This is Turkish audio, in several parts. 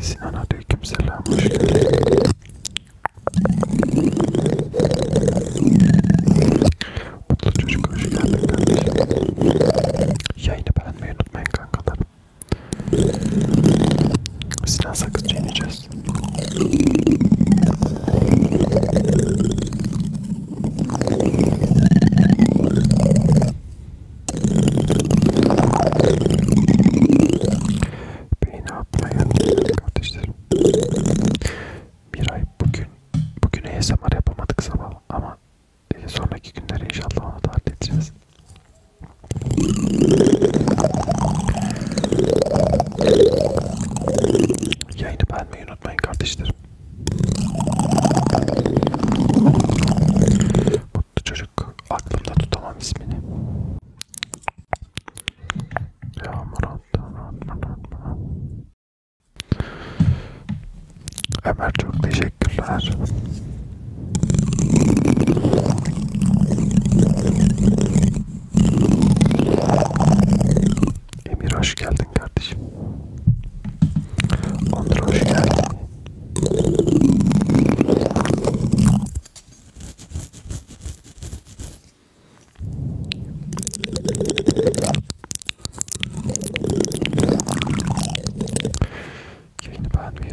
Sinan aleyküm selam. Mutlu çocuk hoş geldin kardeşim. Yayını beğenmeyi unutmayın kankalar. Sinan sakız çiğneyeceğiz. Beyni atmayın kardeşlerim. Bir ay bugün, bugün ASMR yapamadık sabah ama e, sonraki günler inşallah onu da halledeceğiz. Yayını beğenmeyi unutmayın kardeşlerim. Mutlu çocuk yok. Aklımda tutamam ismini. Yağmur attı. Ömer çok teşekkürler. Emir hoş geldin kardeşim. Onur hoş geldin. Yayını beğenmeyi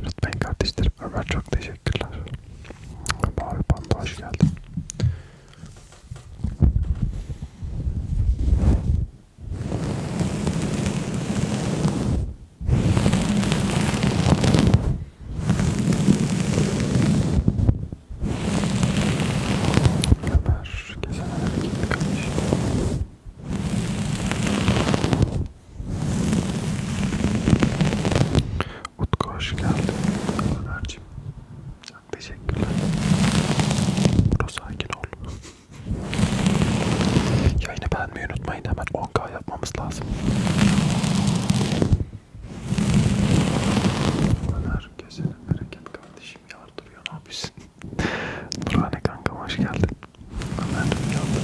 unutmayın kardeşlerim. Ömer çok teşekkürler. Mavi Panda hoş geldin. Ömer geçen gitti kardeşim. Utku hoş geldin Ömerciğim. Çok teşekkürler. Burası sakin ol. Yayını beğenmeyi unutmayın. Hemen 10k yapmamız lazım. Herkese bereket kardeşim yardırıyor. Ne yapıyorsun? Nurhane kankam hoş geldin. Ömer geldi.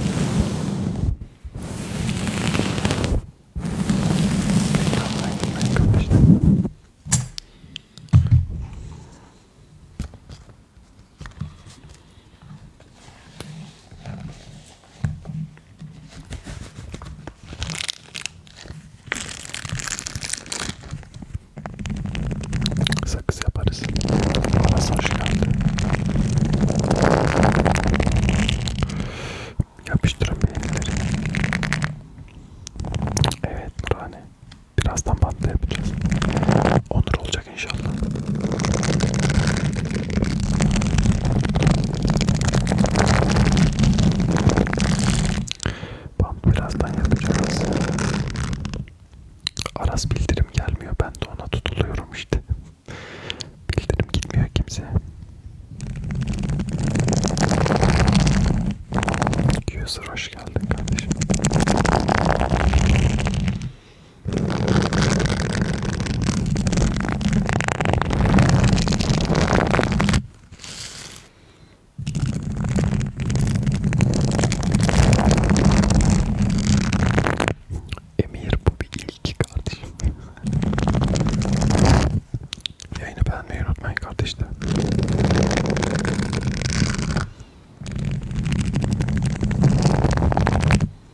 Sakız yaparız. Aras hoş şey geldin. Yapıştırın beğenileri. Evet Nurhane. Birazdan bantla yapacağız. Onur olacak olacak inşallah. Bam birazdan yapacağız. Aras bildirim gelmiyor. Ben de ona tutuluyorum işte. Bildirim gitmiyor kimse. 200 hoş geldin kardeşim. Emir bu bir ilki kardeşim. Yayını beğenmeyi unutmayın kardeşler.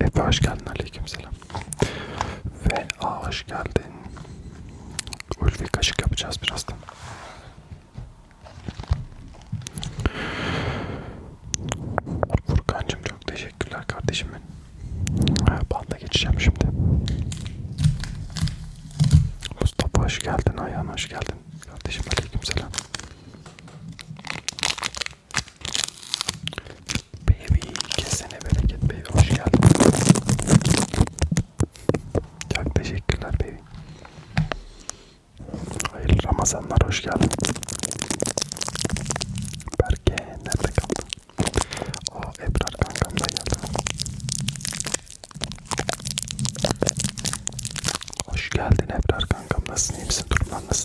Efe hoş geldin aleykümselam. Ve a hoş geldin. Ulvi kaşık yapacağız birazdan. Furkan'cım çok teşekkürler kardeşim benim. Banda geçeceğim şimdi. Mustafa hoş geldin, Ayhan hoş geldin. Kardeşim aleykümselam. Baby kesene bereket baby hoş geldin. Çok teşekkürler baby. Hayırlı Ramazanlar hoş geldin. Berke nerede kaldın? O Ebrar kankam da geldi. Hoş geldin Ebrar kankam nasılsın iyi misin durumlar nasıl?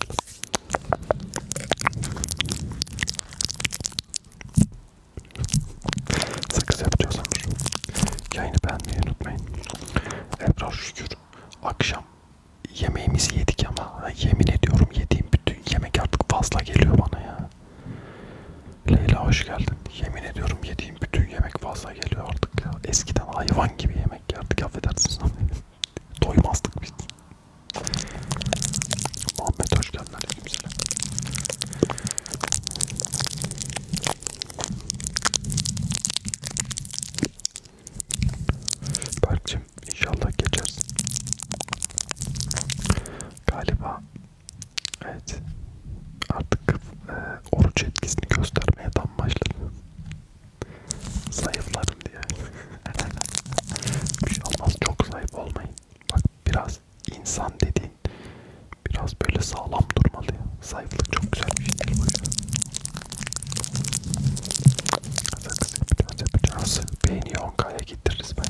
Sakız yapacağız Onur. Yayını beğenmeyi unutmayın. Ebrar şükür akşam yemeğimizi yedik ama yemin ediyorum yediğim bütün yemek artık fazla geliyor bana ya. Leyla hoş geldin. Yemin ediyorum yediğim bütün yemek fazla gaza geliyor artık ya. Eskiden hayvan gibi yemek yerdik affedersiniz ama doymazdık biz. Muhammed hoş geldin aleykümselam. Berk'cim inşallah geçersin. Galiba evet artık e, oruç etkisini göstermeye tam başladı. Zayıfladım diye. Bir şey olmaz çok zayıf olmayın. Bak biraz insan dediğin biraz böyle sağlam durmalı ya. Zayıflık çok güzel bir şey değil Biraz beyni 10K'ya getiririz bence.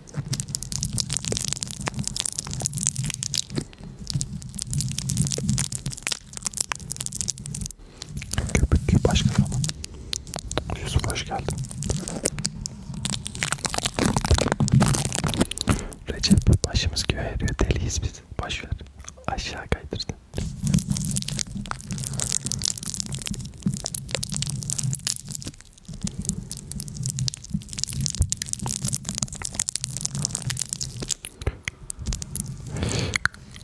Köpük başka zaman. Yusuf hoş geldin. Recep başımız göğe eriyor. Deliyiz biz. Baş ver. Aşağı kaydırdın.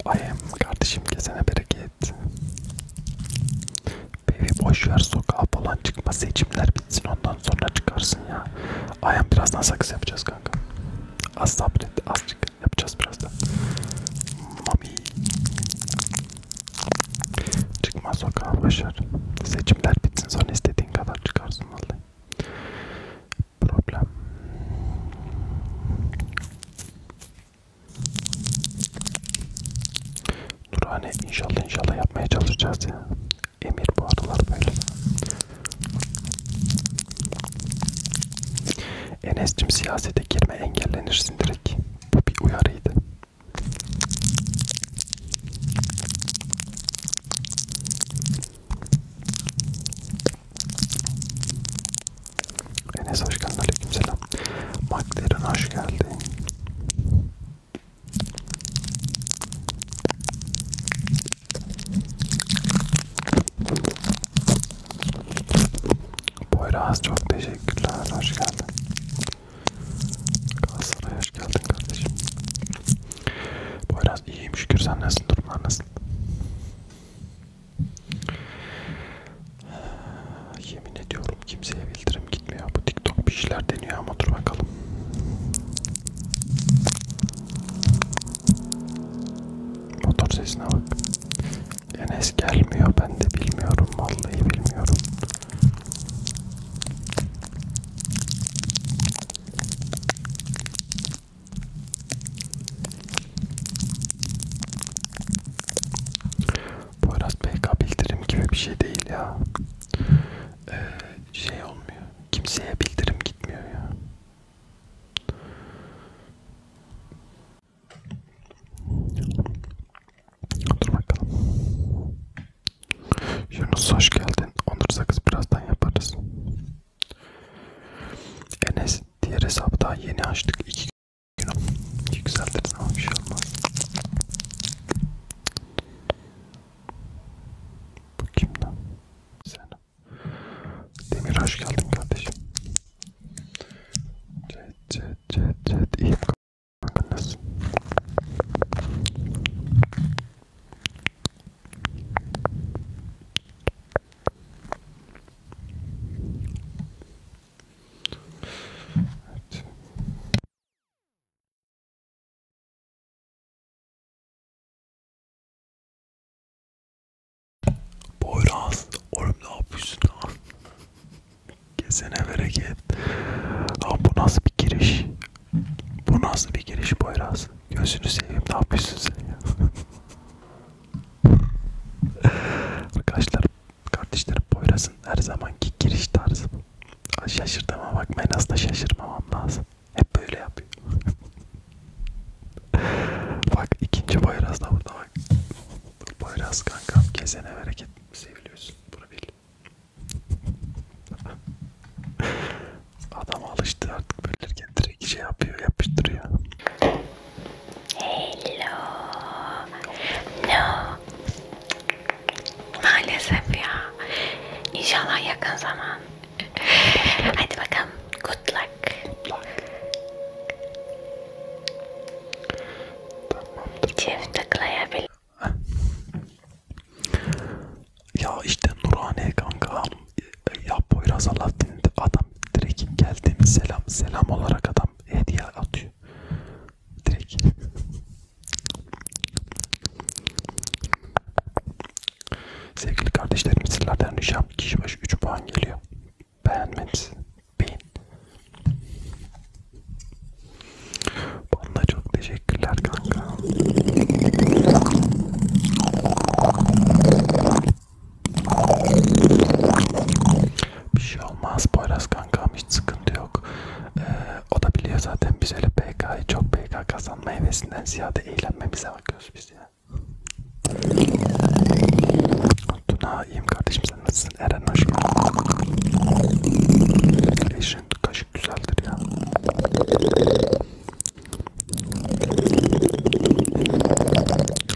Ayem kardeşim kesene bereket. Bebi boş ver sokağa falan çıkma seçimler bitsin ondan sonra çıkarsın ya. Ayem birazdan sakız yapacağız kanka. Az sabret azıcık yapacağız birazdan. Mami. Çıkma sokağa boş ver. Seçimler bitsin sonra istediğin kadar çıkarsın lazım vallahi. Problem. Dur hani inşallah inşallah yapmaya çalışacağız ya. Emir bu aralar böyle. Enes'cim siyasete girme engellenirsin direkt. Bu bir uyarıydı. Enes hoş geldin. Aleykümselam. McLaren hoş geldi. Boyraz çok teşekkürler. Hoş geldin. Galatasaray hoş geldin kardeşim. Bu biraz iyiyim şükür. Sen nasıl durumlar nasıl? Yemin ediyorum kimseye bildirim gitmiyor. Bu TikTok bir şeyler deniyor ama dur bakalım. Motor sesine bak. Enes gelmiyor. Ben de bilmiyorum. Vallahi bilmiyorum. Poyraz PK bildirim gibi bir şey değil ya. Ee, şey olmuyor. Kimseye bildirim gitmiyor ya. Dur bakalım. Yunus hoş geldin. Onur sakız birazdan yaparız. Enes diğer hesabı daha yeni açtık. İki gün yükseltiriz ama bir şey olmaz. Bu kimden? Sen. Demir hoş geldin kardeşim. Cet cet cet cet. İyiyim kanka nasılsın? Evet. Boyraz, oğlum ne yapıyorsun lan? Kesene bereket. Abi bu nasıl bir giriş? Bu nasıl bir giriş Boyraz? Gözünü seveyim ne yapıyorsun sen ya? Arkadaşlar, kardeşlerim Boyraz'ın her zamanki giriş tarzı bu. Şaşırtama bakmayın aslında şaşırmamam lazım. Hep böyle yapıyor. bak ikinci Boyraz da burada bak. Boyraz kankam kesene bereket seviliyorsun. Bunu bil. Adam alıştı artık belirken direkt şey yapıyor, yapıştırıyor. Hello. No. Maalesef ya. İnşallah yakın zaman. Hadi bakalım. Good luck. Good luck. Tamamdır. Çift tıklayabilir. Ya işte Nurhane kanka ya Poyraz Alaaddin adam direkt geldiğim selam selam olarak adam hediye atıyor direkt. Sevgili kardeşlerim sizlerden ricam kişi başı 3 puan geliyor. Beğenmeniz beğen. Onda çok teşekkürler kanka. Bir şey olmaz Poyraz kankam hiç sıkıntı yok. Ee, o da biliyor zaten biz öyle PK'yı çok PK kazanma hevesinden ziyade eğlenmemize bakıyoruz biz ya. Tuna iyiyim kardeşim sen nasılsın? Eren hoş geldin. Şen kaşık güzeldir ya.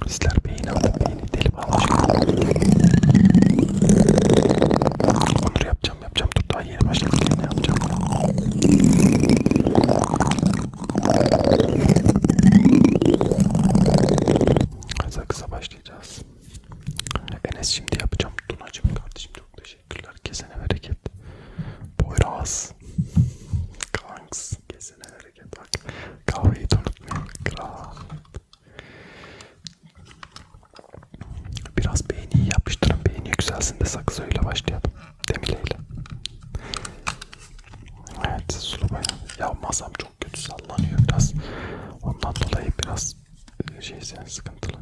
Sizler beğeni alın, beğeni deli bağlı. Onur yapacağım, yapacağım. Dur daha yeni başladım. Ne yapacağım? Kısa kısa başlayacağız. Enes şimdi yapacağım. Tunacığım kardeşim çok teşekkür Teşekkürler. Kesene bereket. Poyraz. Kanks. Kesene bereket. Bak. Kahveyi unutmayın. Kral. Biraz beğeni yapıştırın. Beğeni yükselsin de sakız öyle başlayalım. Demileyle. Evet. Sulu bayan. Ya masam çok kötü sallanıyor biraz. Ondan dolayı biraz e, şeysen sıkıntılı.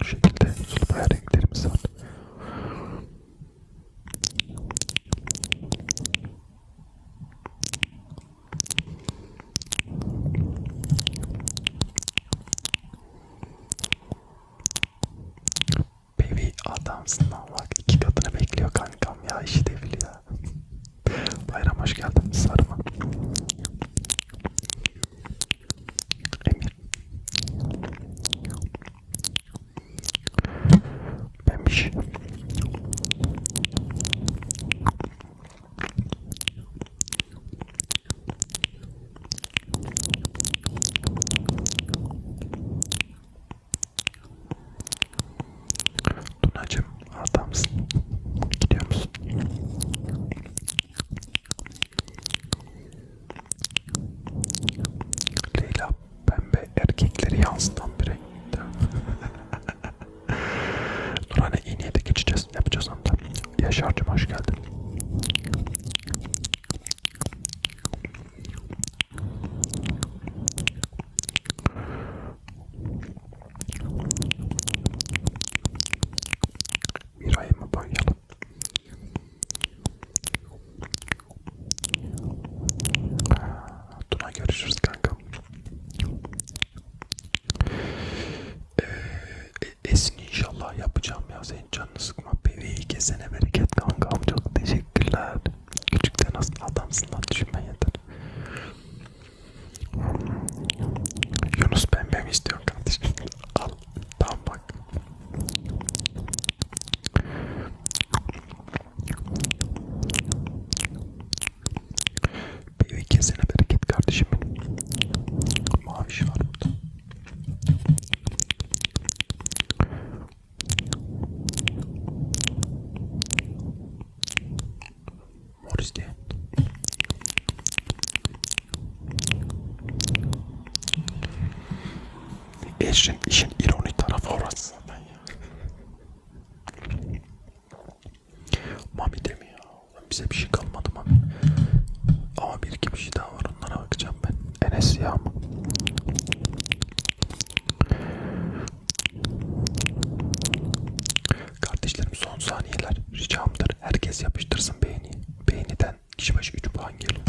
Bu şekilde sulu bayağı renklerimiz var. Baby adamsın bak iki katını bekliyor kankam ya işi de biliyor. Bayram hoş geldin sarma. Emir Memiş. Tunacım, adamsın. Gidiyor musun? Leyla pembe erkekleri yansıtan bir renkte. Nurhan'a iyi niyete geçeceğiz. Yapacağız onu da. Yaşar'cım hoş geldin. Miray'ı mı boyayalım? Tuna görüşürüz kanka. Ee, esin inşallah yapacağım ya senin canını sıkma bebeği kesene bereket kankam çok teşekkürler. Küçükten aslında adamsın lan düşünmen yeter. Yunus pembe mi istiyorsun kardeşim? Al Tam bak. Bir kesene bereket kardeşim benim. Maviş şey var burada. Mor izleyen. İşin, işin ironi tarafı orası zaten ya. Mami de mi ya? Bize bir şey kalmadı Mami. Ama bir iki bir şey daha var onlara bakacağım ben. Enes ya mı? Kardeşlerim son saniyeler ricamdır. Herkes yapıştırsın beğeni. Beğeniden kişi başı 3 puan geliyor.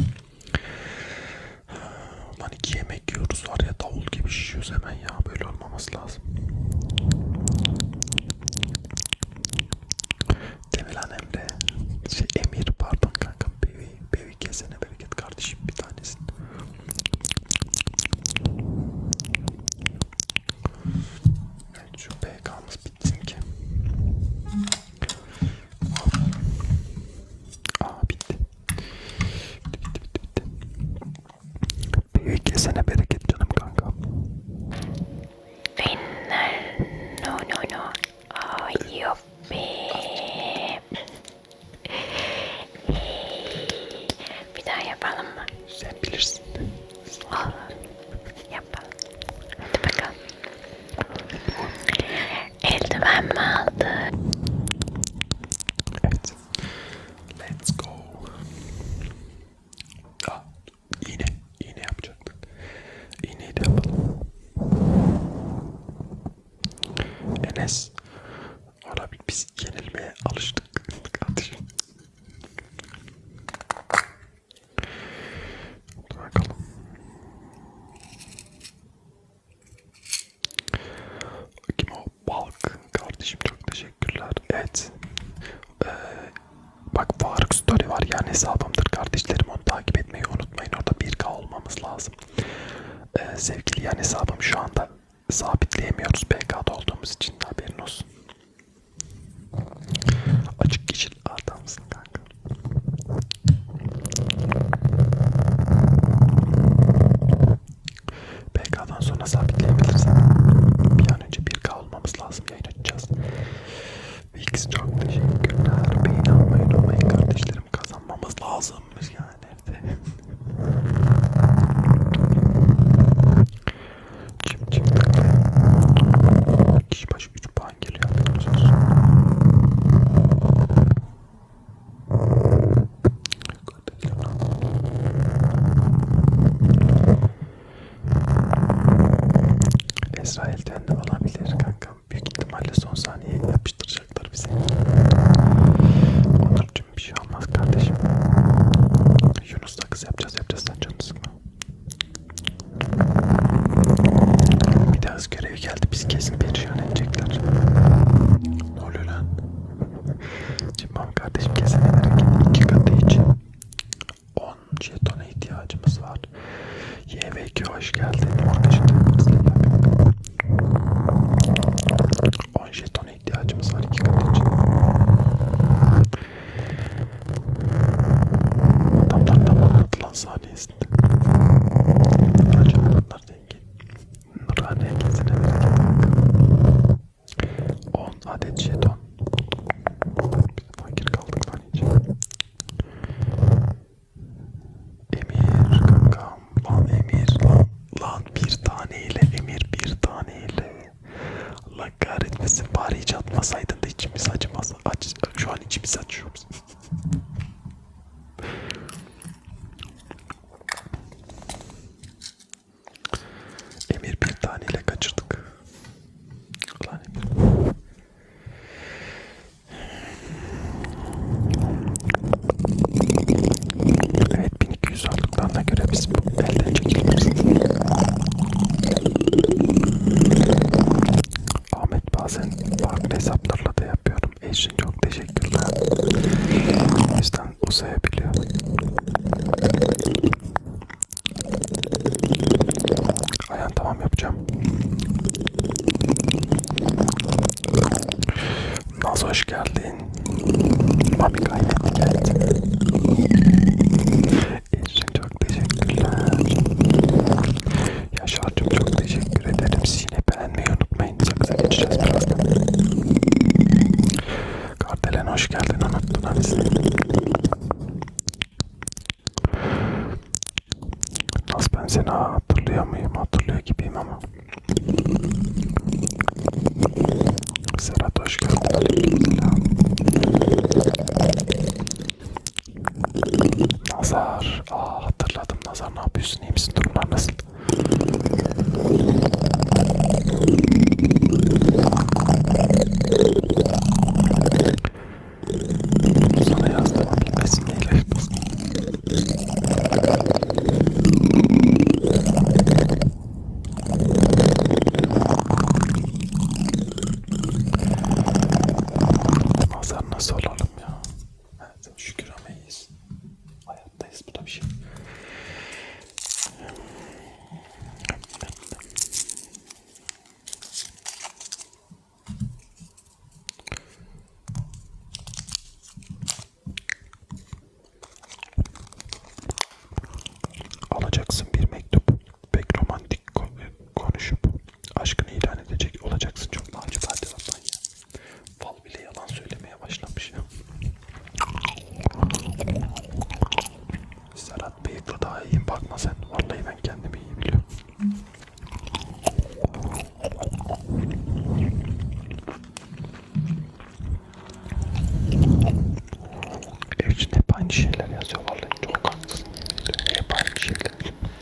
Lan iki yemek yiyoruz var ya davul gibi şişiyoruz hemen ya böyle olmaması lazım. Demelan Emre, şey Emir pardon kanka bevi, bevi kesene bereket kardeşim bir tanesin. Evet şu PK'mız gittim ki? Aa bitti. Bitti bitti bitti. bitti. Büyük yesene bereket canım kanka. Finler. No no no. Aa yok be. Hey, bir daha yapalım mı? Sen bilirsin. Olur. Yapalım. Hadi bakalım. Eldiven mi aldı? Evet. Let's go. Aa, ah, iğne. İğne yapacaktık. İğneyi de yapalım. Enes. Ona biz yenilmeye alıştık kardeşim. Bakalım. Kim o? Balk. Kardeşim çok teşekkürler. Evet. Ee, bak Faruk Story var yani hesabımdır kardeşlerim. Onu takip etmeyi unutmayın. Orada 1K olmamız lazım. Ee, sevgili yani hesabım şu anda sabitleyemiyoruz. PK'da olduğumuz için haberin olsun. Açık yeşil adamsın kanka. BK'dan sonra sabitleyebilirsin. Bir an önce 1K olmamız lazım. Yayın açacağız. Vix çok teşekkürler. Beyin almayın olmayın kardeşlerim. Kazanmamız lazım. Yani nerede? Çim çim. Kişi yaklaşık 3 puan geliyor haberiniz olsun. Esra elden de olabilir kankam. Büyük ihtimalle son saniye yapıştıracaklar bizi. Onurcuğum bir şey olmaz kardeşim. Yunus da kız yapacağız yapacağız sen canını sıkma. Bir de az görev geldi. Biz kesin perişan edecekler. Ne oluyor lan? Cimbom kardeşim kesemelerek iki katı için 10 jetona ihtiyacımız var. YVQ hoş geldin. Orada jetonlarımızla 10 jetona ihtiyacımız var iki katı için. Adamlar tamamladı lan saniye Acaba bunlar denge. Nurhan dengesine bereket. 10 adet jeton. Biz fakir kaldık lan hiç. Emir kankam. Lan Emir lan. Lan bir taneyle Emir bir taneyle. Allah kahretmesin bari hiç atmasaydın da içimiz acımaz. Aç, şu an içimiz acıyor. Emir bir taneyle kaçırdık. Ulan Emir. Evet 1200 olduklarına göre biz bu elden çekiliriz. Ahmet bazen farklı hesaplarla da yapıyor yardım eşin çok teşekkürler. O yüzden uzayabiliyor. Aynen tamam yapacağım. Naz hoş geldin. Mami kaynaklı geldi. Eşin çok teşekkürler. Yaşar'cığım çok teşekkür ederim yine beğenmeyi unutmayın. Sakıza geçeceğiz birazdan. Kardelen hoş geldin. Unuttun ha bizi. Nasıl ben seni hatırlıyor muyum? Hatırlıyor gibiyim ama. Serhat hoş geldin. Nazar. Aa, hatırladım Nazar. Ne yapıyorsun? İyi misin? Durumlar nasıl? Sana yazdım. Bilmesin neyle yapmasın. Nazar nasıl olalım ya? Evet, şükür ama iyiyiz. Hayattayız bu da bir şey. Alacaksın bir mektup, pek romantik konuşup aşkını ilan edecek olacaksın çok naciz hadi ya. Fal bile yalan söylemeye başlamış ya. Serhat bıyıklı daha iyiyim bakma sen. Vallahi ben kendimi iyi biliyorum. Ev için hep aynı şeyler yazıyor vallahi çok haklısın. Hep aynı şeyler.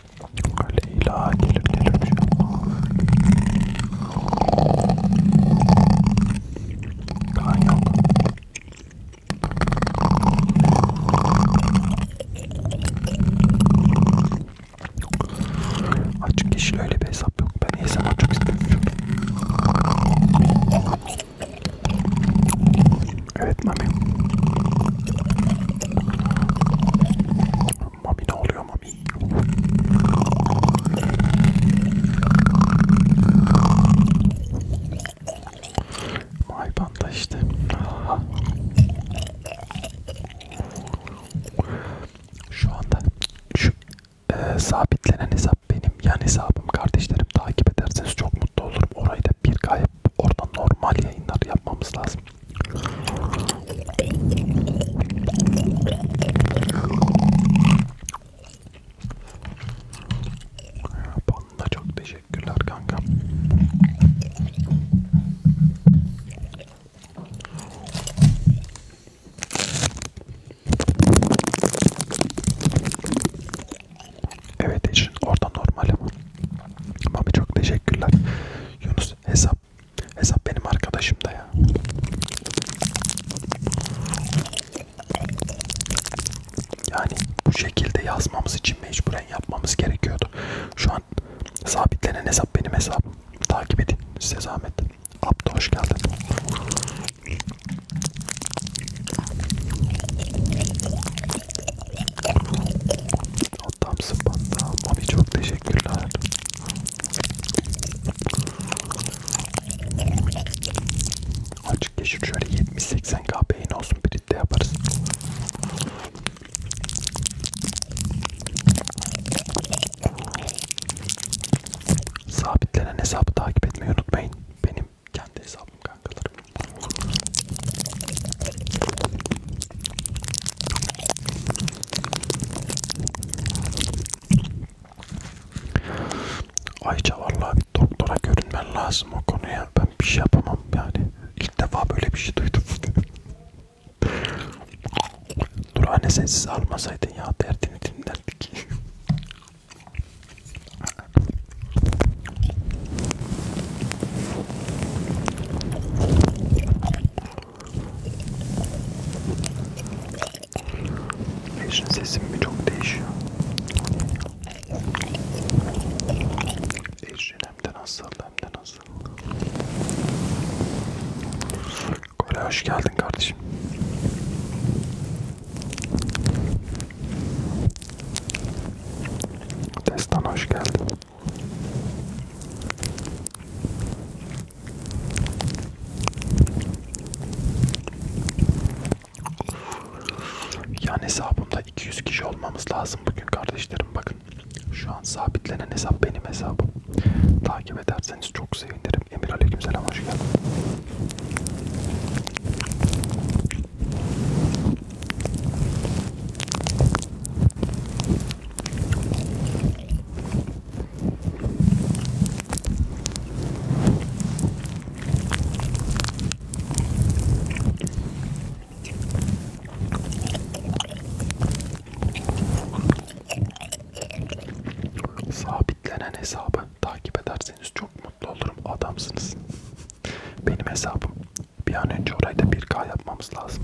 Leyla gelir gelir bir şey Kan yok Açık yeşil öyle bir hesap yok ben hesap açık istemiyorum Evet mami Mami ne oluyor Mami? Maybanda işte. Şu anda şu e, sabitlenen hesap benim yan hesabım kardeşlerim takip ederseniz çok mutlu olurum. Orayı da bir kayıp oradan normal yayınlar yapmamız lazım. Bana çok teşekkürler kanka. Evet için orada normal ama çok teşekkürler. Yunus hesap Hesap benim arkadaşım da ya. Yani bu şekilde yazmamız için mecburen yapmamız gerekiyordu. Şu an sabitlenen hesap benim hesabım. Takip edin size zahmet. Abdo hoş geldin. Adamsın banda. Abi çok teşekkürler. Açık geçir şöyle 70-80 kahveyin olsun bir de yaparız. Sabitlenen hesabı takip etmeyi unutmayın. Benim kendi hesabım kankalarım. Ayça vallahi bir doktora görünmen lazım o konuya. Ben bir şey yapamam yani. İlk defa böyle bir şey duydum. Dur anne sensiz almasaydın ya derdini dinlerdik. Eşin sesim mi çok değişiyor? Eşin hem de nasıl hem de nasıl? Kore hoş geldin kardeşim. Destan hoş geldin. Yani hesabımda 200 kişi olmamız lazım bugün kardeşlerim bakın. Şu an sabitlenen hesap benim hesabım. Takip ederseniz çok sevinirim. Emir Aleykümselam hoş geldin. Sabitlenen hesabı takip ederseniz çok mutlu olurum. Adamsınız. Benim hesabım. Bir an önce orayda 1K yapmamız lazım.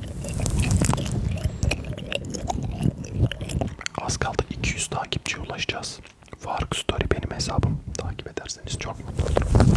Az kaldı 200 takipçiye ulaşacağız. Fark Story benim hesabım. Takip ederseniz çok mutlu olurum.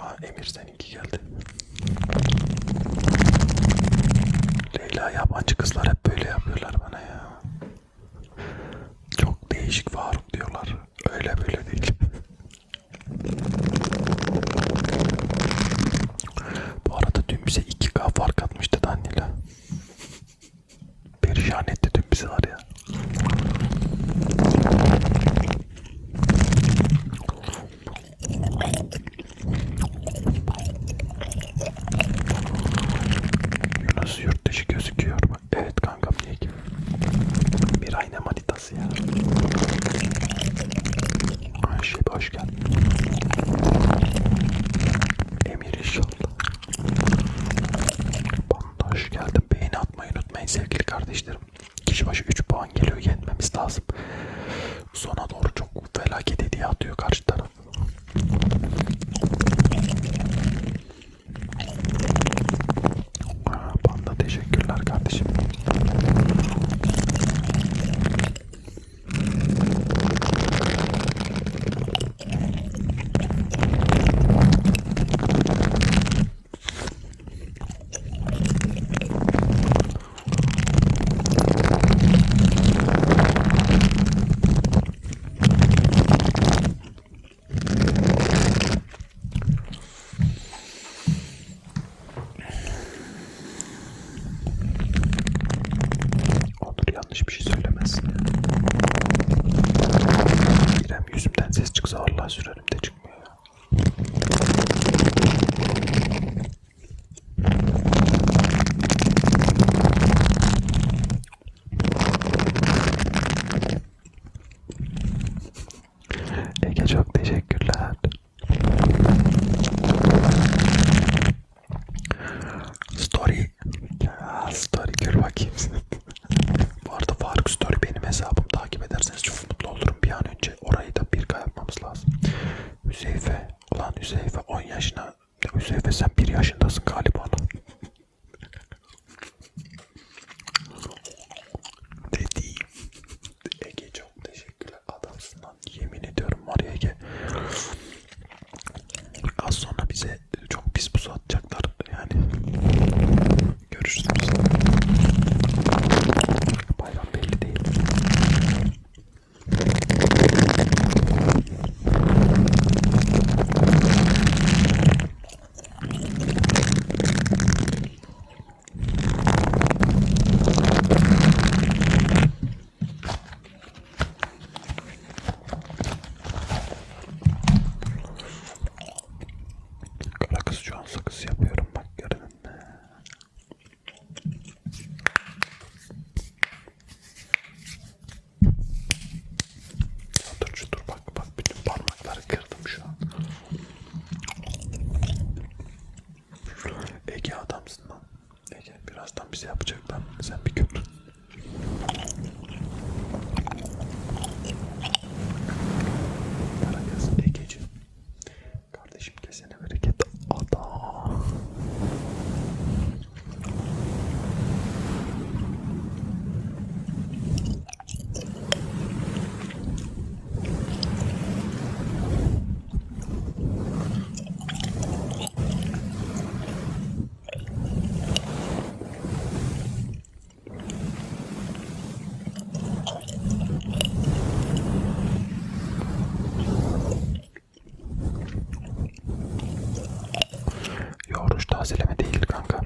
Aa Emir seninki geldi. Leyla yabancı kızlar hep böyle yapıyorlar bana ya. Çok değişik Faruk diyorlar. Öyle böyle değil. Bu arada dün bize 2K fark atmıştı Danila. Perişan etti dün bizi var ya. Yunus yurt dışı gözüküyor mu? Evet kankam niye ki? Bir ayna manitası ya. Ayşe hoş geldin. Emir inşallah kanalına hoş geldin. Beğeni atmayı unutmayın sevgili kardeşlerim. Kişi başı 3 puan geliyor. Yenmemiz lazım. Sona doğru çok felaket hediye atıyor karşı taraf. Panda teşekkürler kardeşim. Onur yanlış bir şey söylemesin. İrem hem yüzümden ses çıksa Allah sürerim de çıkmıyor ya. Ege çok teşekkürler. Story. Ya, story gör bakayım. Bu arada Faruk Story benim hesabım takip ederseniz çok mutlu olurum. Bir an önce orayı da bir yapmamız lazım. Hüseyfe, ulan Hüseyfe 10 yaşına, Hüseyfe sen 1 yaşındasın galiba. Dediğim. Ege çok teşekkürler adamsın lan. Yemin ediyorum var ya Ege. Az sonra bize çok pis pusu atacaklar yani. Görüşürüz. Bayram belli değil. Kara kız şu an sakız yapıyorum bak görün. Dur şu dur bak bak bütün parmakları kırdım şu an. Ege adamsın lan. Ege birazdan bize yapacak ben sen bir kötü. Karagöz Egeci. Kardeşim kesene bereket. Ada. Yoğuruş tazeleme değil kanka.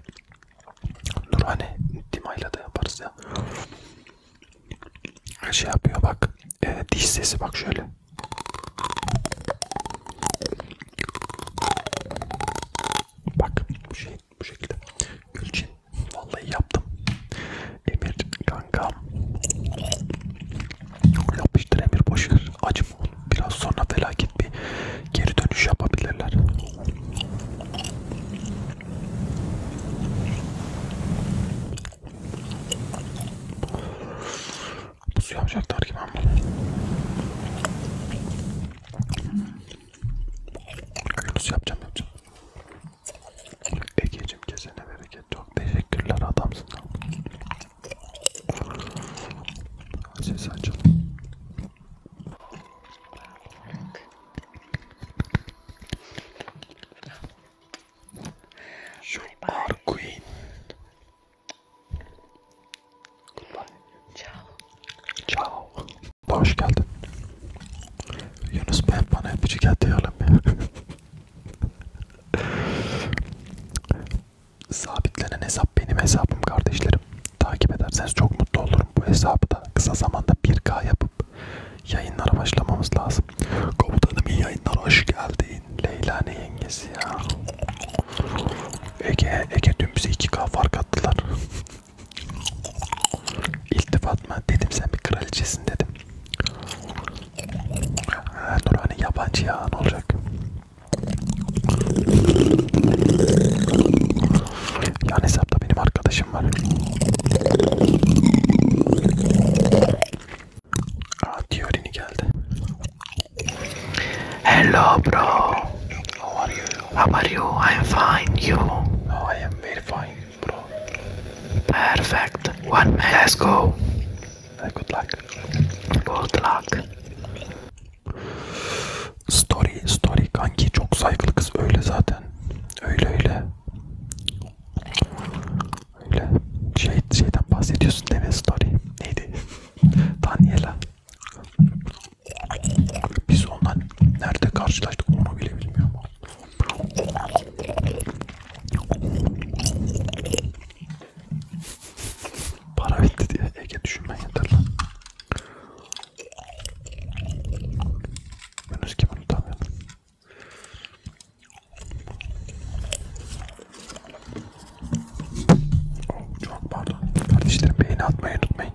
Nurhane Dima'yla da yaparız ya. Şey yapıyor bak. E, diş sesi bak şöyle. Bak bu şey şey bu şekilde. Gülçin vallahi yaptım. Emir kanka yapıştır Emir boşver. Acım biraz sonra felaket bir geri dönüş yapabilirler. Bu suyu yapacaklar ki ben bunu. Nasıl yapacağım yapacağım. Egeciğim kesene bereket. Çok teşekkürler adamsın. Ses açalım. You are queen. Ciao. Ciao. Hoş geldin. Yunus Bey bana öpücük at diyelim ya. Sabitlenen hesap benim hesabım kardeşlerim. Takip ederseniz çok mutlu olurum. Bu hesabı da kısa zamanda 1K yapıp yayınlara başlamamız lazım. Komutanım iyi yayınlar hoş geldin. Leyla ne yengesi ya. Ege, Ege dün bize 2K fark attılar. İltifat mı? Dedim sen bir kraliçesin dedim. Ha, Nurhani yabancı ya ne olacak? Yani hesapta benim arkadaşım var. Aa Diorini geldi. Hello bro. How are you? How are you? I'm fine. You? Oh, I am very fine, bro. Perfect. One man. Let's go. Uh, good luck. Good luck. Story, story kanki çok saygılı kız öyle zaten. Öyle öyle. Öyle. Şey, şeyden bahsediyorsun değil mi story? Neydi? Daniela. Biz ondan nerede karşılaştık onu bile bilmiyorum. Para bitti diye Ege düşünmen yeter lan. Yunus gibi unutamıyorum. Oh, çok pardon. Kardeşlerim beğeni atmayı unutmayın.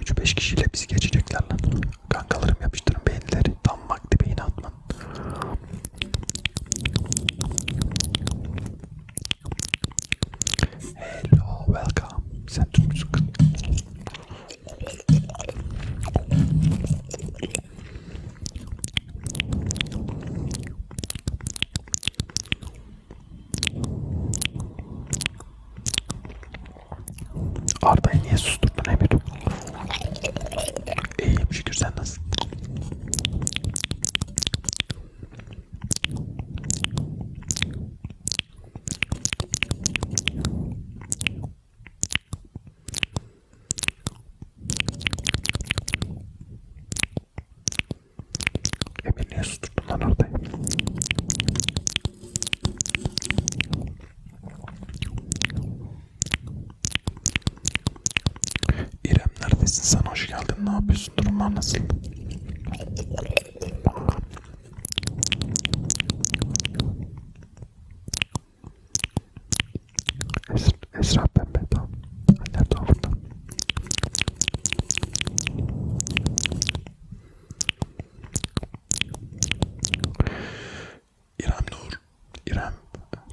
3-5 kişiyle bizi geçecekler lan. Kankalarım yapıştırın beyinleri. Tam vakti beyni atman. Hello, welcome. Sen Türk Arda'yı niye susturdun Emir? İyiyim şükür sen nasılsın? Emir niye susturdun lan orada? İrem neredesin sen hoş geldin ne yapıyorsun durumlar nasıl? Es Esra pembe tamam. Annem de burada. İrem Nur. İrem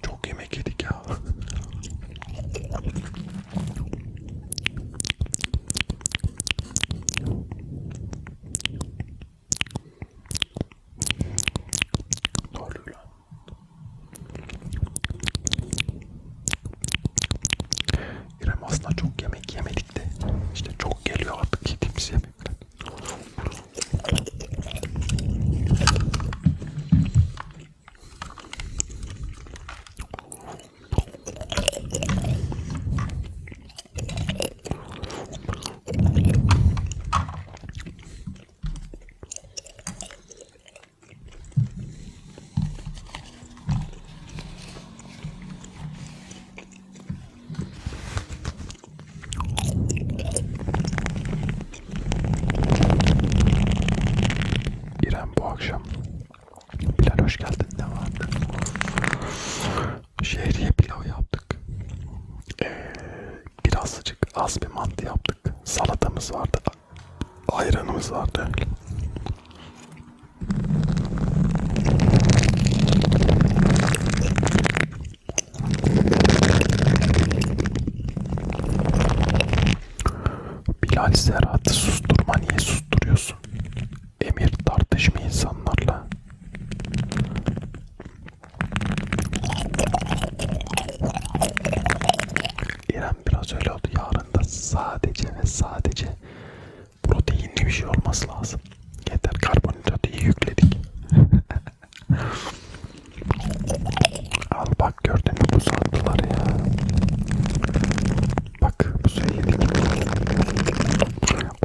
çok yemek yedik ya. Doğru lan. İrem aslında çok yemek yemedik de işte çok geliyor artık yediğimiz yemekler. İrem bu akşam Bilal hoş geldin ne vardı? Şehriye pilav yaptık. Ee, birazcık az bir mantı yaptık. Salatamız vardı. Ayranımız vardı. Bilal Serhat'ı susturma niye susturuyorsun? Emir tartışma insanlarla. İrem biraz öyle oldu. Yarın da sadece ve sadece proteinli bir şey olması lazım. Yeter karbonhidratı iyi yükledik. Al bak gördün mü bu sattılar ya. Bak bu söyledik.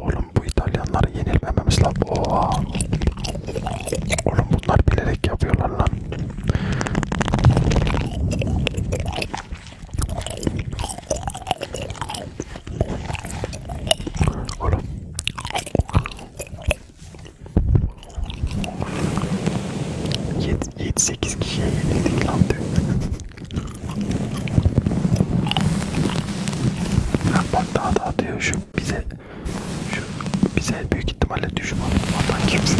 Oğlum bu İtalyanlara yenilmememiz lazım. Oha. Oğlum bunlar bilerek yapıyorlar lan. Oğlum. Yet, yet sekiz kişiye yenildik lan dün. Bak daha da atıyor şu bize şu bize büyük ihtimalle düşman vatan kimse.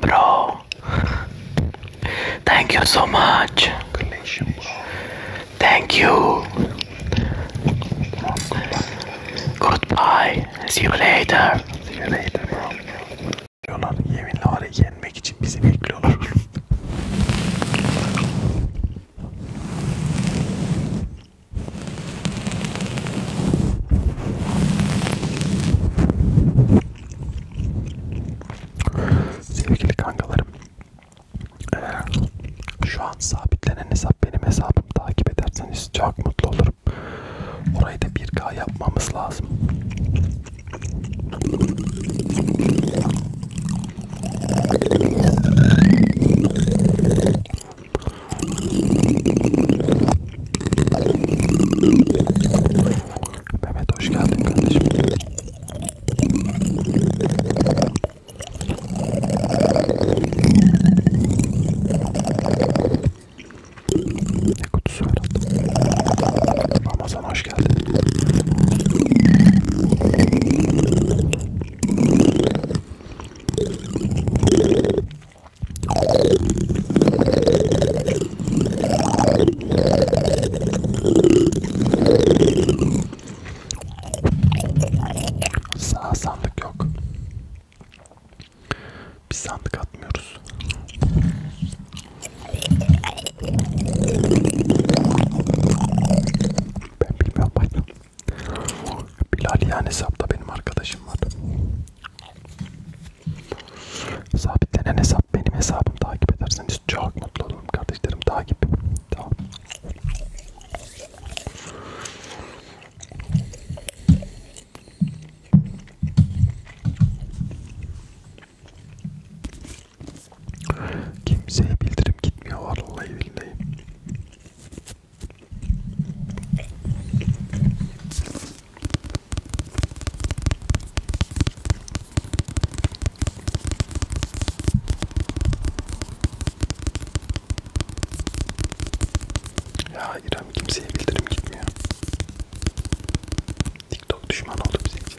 Bro. Thank you so much. Thank you. Goodbye. See you later. See you later bro. Diyorlar yeminle var ya yenmek için bizi bekliyorlar. Sevgili kankalarım, ee, şu an sabitlenen hesap benim hesabım. Takip ederseniz çok mutlu olurum. Orayı da 1K yapmamız lazım. Mehmet hoş geldin kardeşim. Ne kutusu herhalde. Ramazan hoş geldin. Sağ sandık yok. Bir sandık atmıyoruz. Ben bilmiyorum. Bilal yani hesapta benim arkadaşım var. Sabitlenen hesap benim hesabım takip ederseniz çok mutlu olurum kardeşlerim takip. Tamam. Kimseye bildirim gitmiyor vallahi billahi. Ya İrem kimseye bildirim gitmiyor. TikTok düşman oldu bizim için.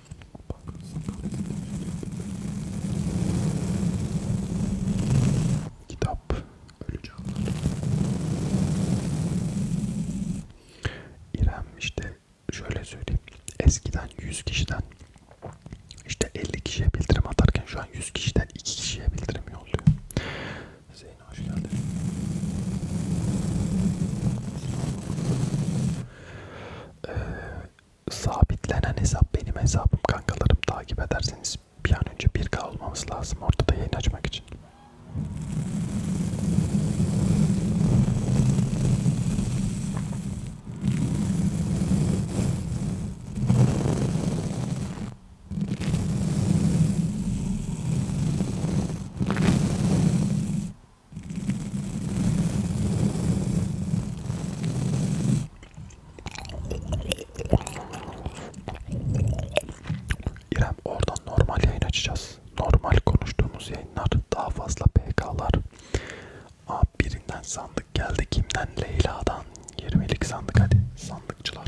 Kitap Ölü Canlar İrem işte şöyle söyleyeyim eskiden 100 kişiden işte 50 kişiye bildirim atarken şu an 100 kişiden 2 kişiye bildirim yolluyor. Zeynep hoş geldin. Ee, sabitlenen hesap benim hesabım kankalarım takip ederseniz bir an önce 1K olmamız lazım ortada yayın açmak için. İrem oradan normal yayın açacağız. Normal konuştuğumuz yayınlar daha fazla PK'lar. Aa, birinden sandık geldi. Kimden? Leyla'dan. 20'lik sandık hadi. Sandıkçılar.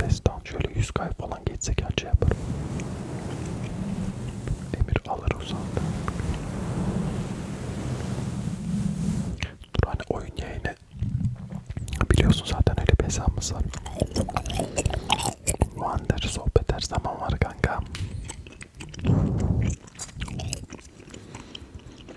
Destan şöyle yüz kay falan geçsek anca yaparım. Emir alır uzandı. Dur hani oyun yayını biliyorsun zaten öyle bir hesabımız var. Wander sohbet her zaman var kanka.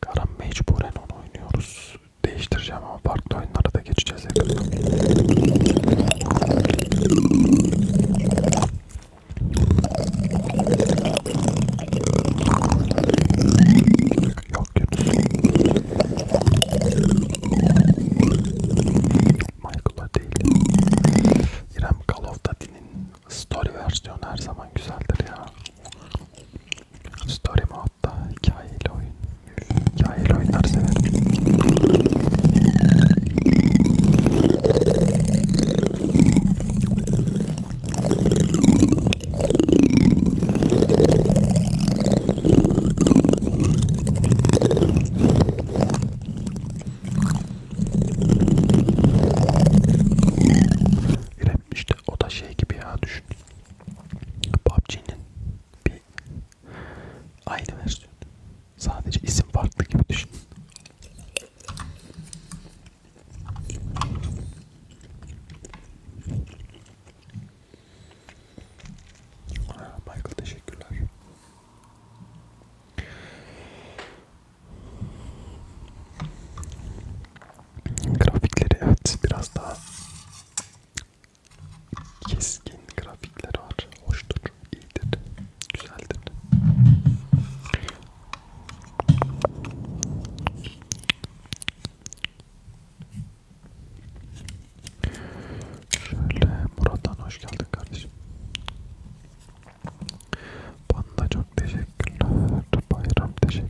Karan mecburen onu oynuyoruz. Değiştireceğim ama farklı oyunlara da geçeceğiz yakında. Yok Yunus. Michael'a değil. İrem Call of Duty'nin story versiyonu her zaman güzeldir ya. Story mu Hatta hikayeli oyun. Hikayeli oyunlar severim. İrem işte o da şey gibi ya düşün PUBG'nin bir aynı versiyonu. Sadece isim farklı gibi düşün. Michael teşekkürler. Grafikleri evet biraz daha Keskin grafikler var. Hoştur, iyidir, güzeldir. Şöyle Murat'tan hoş geldin kardeşim. Bana çok teşekkürler. Bayram teşekkür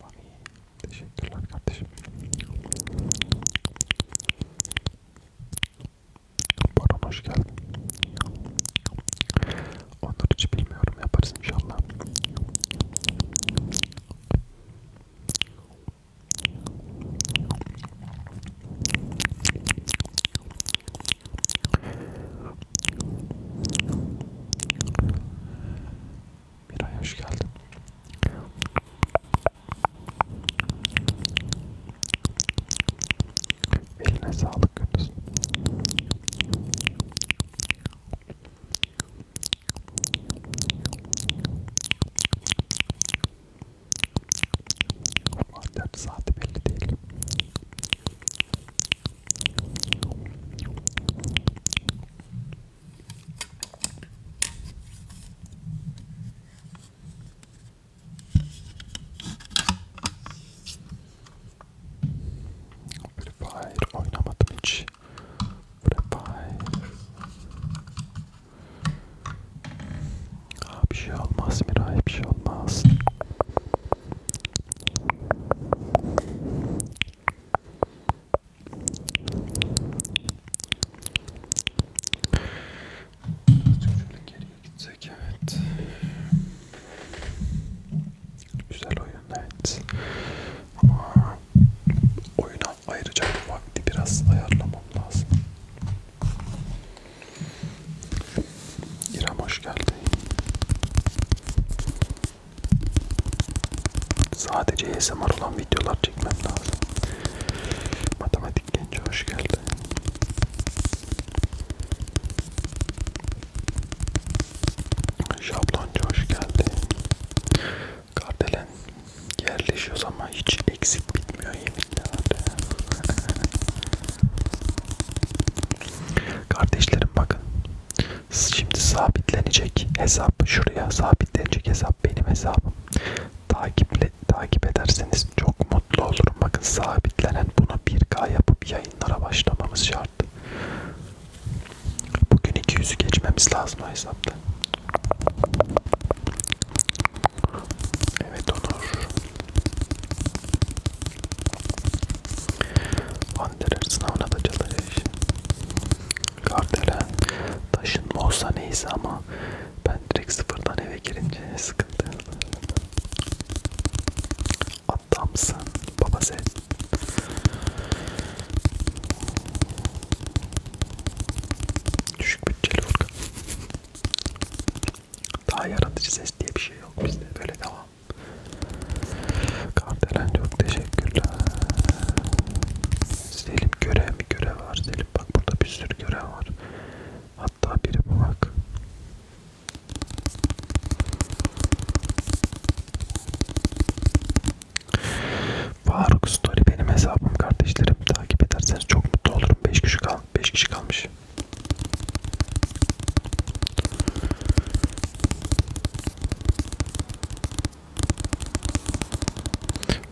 Mari, teşekkürler kardeşim. Baron hoş geldin. Onur hiç bilmiyorum yaparız inşallah. Miray hoş geldin. Eline sağlık Gündüz. Madem saati belli değil. Free Fire oynamadım hiç. Free Fire. Aa, bir şey olmaz Miray, bir şey olmaz. Şöyle geriye gitsek evet. Güzel oyun evet. Ama oyuna ayıracak vakti biraz ayarlamam lazım. İrem hoş geldin. Sadece ASMR olan videolar çekmem lazım. Matematik genci hoş geldi. Şabloncu hoş geldi. Kardelen yerleşiyoruz ama hiç eksik bitmiyor yeminle Kardeşlerim bakın Şimdi sabitlenecek hesap şuraya sabitlenecek hesap benim hesabım. Takiple takip ederseniz çok mutlu olurum. Bakın sabitlenen bunu 1K yapıp yayınlara başlamamız şart. Bugün 200'ü geçmemiz lazım o hesapta. Evet Onur. Wanderer sınavına da çalış. Kardelen taşınma olsa neyse ama ben direkt sıfırdan eve girince sıkıntı. Adamsın baba sen. Düşük bütçeli Furkan. Daha yaratıcı ses diye bir şey yok bizde. Böyle devam. Kardelen çok teşekkürler. Selim görev mi görev var Selim bak burada bir sürü görev var. Hatta biri bu bak. Faruk Story benim hesabım kardeşlerim takip ederseniz çok mutlu olurum. 5 kişi kal 5 kişi kalmış.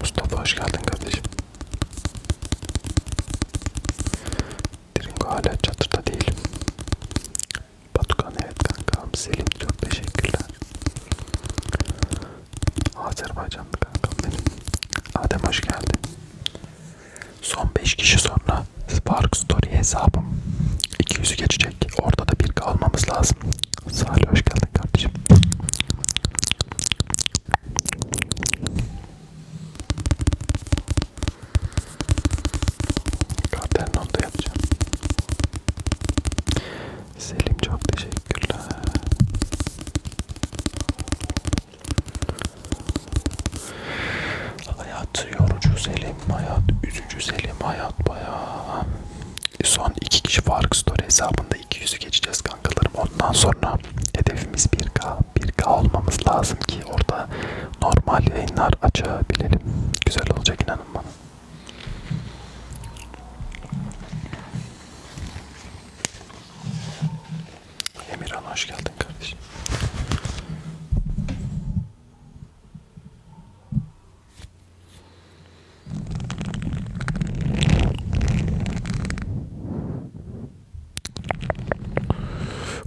Mustafa hoş geldin kardeşim. Dringo hala çatırda değil. Batukan evet kankam. Selim çok teşekkürler. Azerbaycanlı kankam benim. Adem hoş geldin. Son 5 kişi sonra Spark Story hesabım 200'ü geçecek. Orada da bir kalmamız lazım. Salih hoş geldin kardeşim. Kardeşim onu da yapacağım. Selim çok teşekkürler. Hayat yorucu Selim. Selim Hayat, üzücü Selim Hayat bayağı. Son iki kişi Fark Story hesabında 200'ü geçeceğiz kankalarım. Ondan sonra hedefimiz 1K. 1K olmamız lazım ki orada normal yayınlar açabilelim. Güzel olacak inanın bana. Emirhan hoş geldin kardeşim.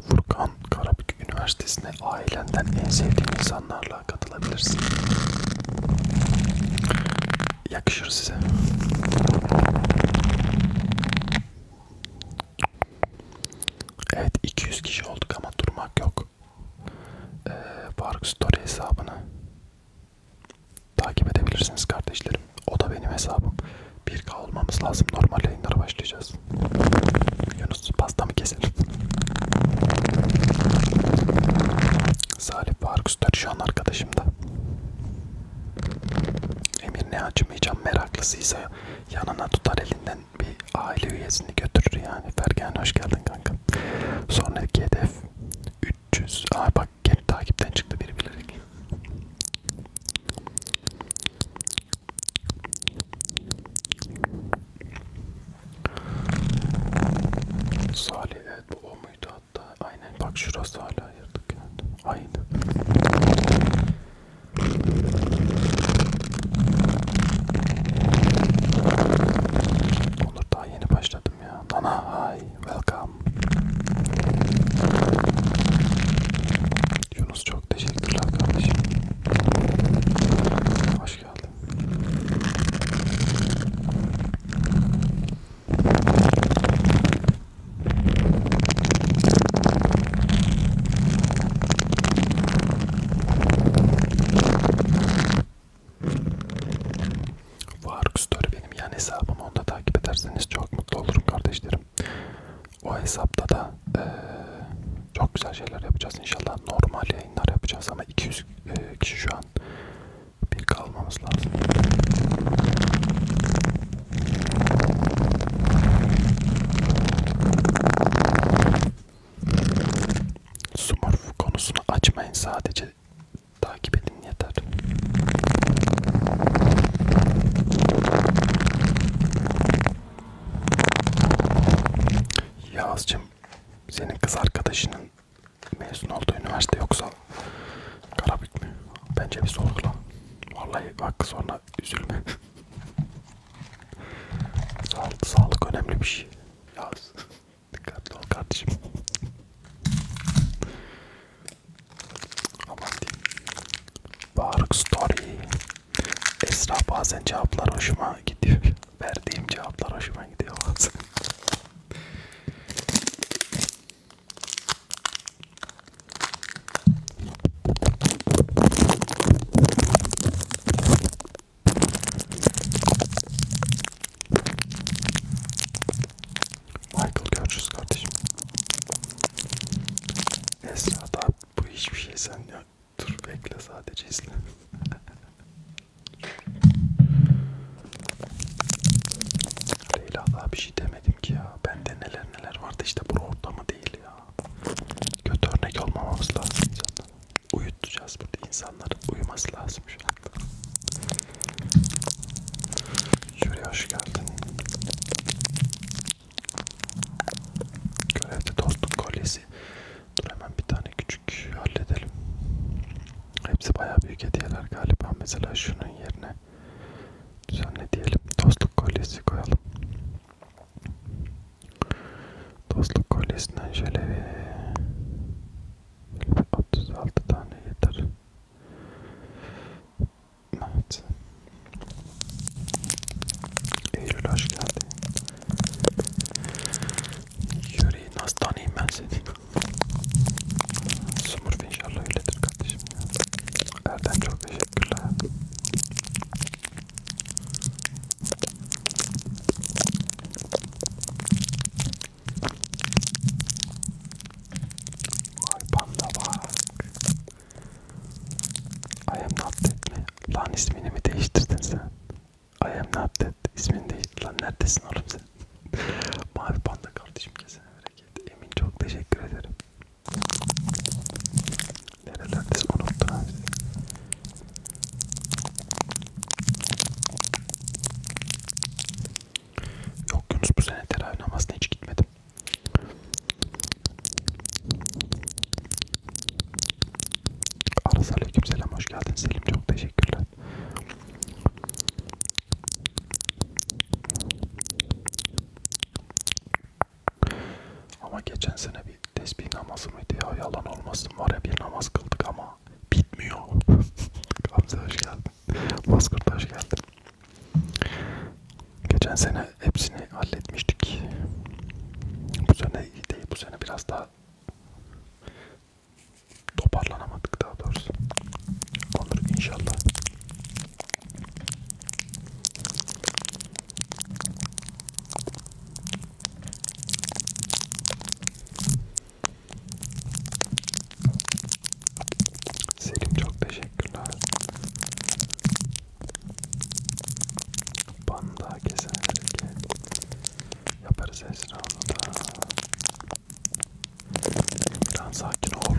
Furkan Karabük Üniversitesi'ne ailenden en sevdiğin insanlarla katılabilirsin. Yakışır size. Evet 200 kişi olduk ama durmak yok. Facebook e, Faruk Story hesabını takip edebilirsiniz kardeşlerim. O da benim hesabım. 1K olmamız lazım. Normal yayınlara başlayacağız. Yunus pastamı keselim. Salih Faruk Story şu an arkadaşım da. Emir ne acımayacağım meraklısıysa yanına tutar elinden bir aile üyesini götürür yani. Fergen hoş geldin kanka. Sonraki hedef 300. Aa bak geri takipten çıktı biri bilerek. Salih evet bu o muydu hatta? Aynen bak şurası hala ayırdık yani. Aynen. Olur daha yeni başladım ya. Dana hi, welcome. Yunus çok teşekkürler kardeşim. Hoş geldin. Faruk Story benim yan hesabım. Onu da takip ederseniz çok mutlu olurum kardeşlerim. O hesapta da e, çok güzel şeyler yapacağız inşallah. Normal yayınlar yapacağız ama 200 e, kişi şu an bir kalmamız lazım. Smurf konusunu açmayın sadece takip edin yeter. Yağız'cığım senin kız arkadaşının mezun olduğu üniversite yoksa Karabük mü? Bence bir sorgula. Vallahi bak sonra üzülme. Sağlık, sağlık önemli bir şey. Yağız. Dikkatli ol kardeşim. Aman diyeyim. Baruk Story. Esra bazen cevaplar hoşuma gidiyor. Verdiğim cevaplar hoşuma gidiyor bazen. Michael görüşürüz kardeşim. Esra da bu hiçbir şey sen ya. Dur bekle sadece izle. Leyla daha bir şey demedim ki ya. Bende neler neler vardı işte bu ortamı değil ya. Kötü örnek olmamamız lazım zaten uyutacağız burada insanların uyuması lazım şu an. Şuraya hoş geldin. Görevde dostluk kolyesi. Dur hemen bir tane küçük halledelim. Hepsi bayağı büyük hediyeler galiba. Mesela şunun yerine düzenle diyelim. Dostluk kolyesi koyalım. Dostluk kolyesinden şöyle bir 36 tane yeter. Evet. Eylül hoş geldin. Yüreği nasıl tanıyayım ben seni? Sumurf inşallah öyledir kardeşim. Erden çok teşekkürler. Vay panda bak. I am not dead mi? Lan ismini mi değiştirdin sen? I am not dead. İsmini değiştirdin. Lan neredesin oğlum sen? Mavi panda kardeşim kesene bereket. Emin çok teşekkür ederim. Nerelerdesin unuttum abi. Yok Yunus bu sene teravih namazına hiç gitmedim. Aras aleyküm selam hoş geldin Selim çok teşekkürler. Ama geçen sene bir tesbih namazı mıydı ya yalan olmasın var ya bir namaz kıldık ama bitmiyor. Gamze hoş geldin. Bozkurt hoş geldin. Geçen sene hepsini halletmiştik. Bu sene iyi değil. Bu sene biraz daha toparlanamadık daha doğrusu. Olur inşallah. Selim çok teşekkürler. Banda kesen hareket. Yaparız Esra onu da. Lan sakin ol.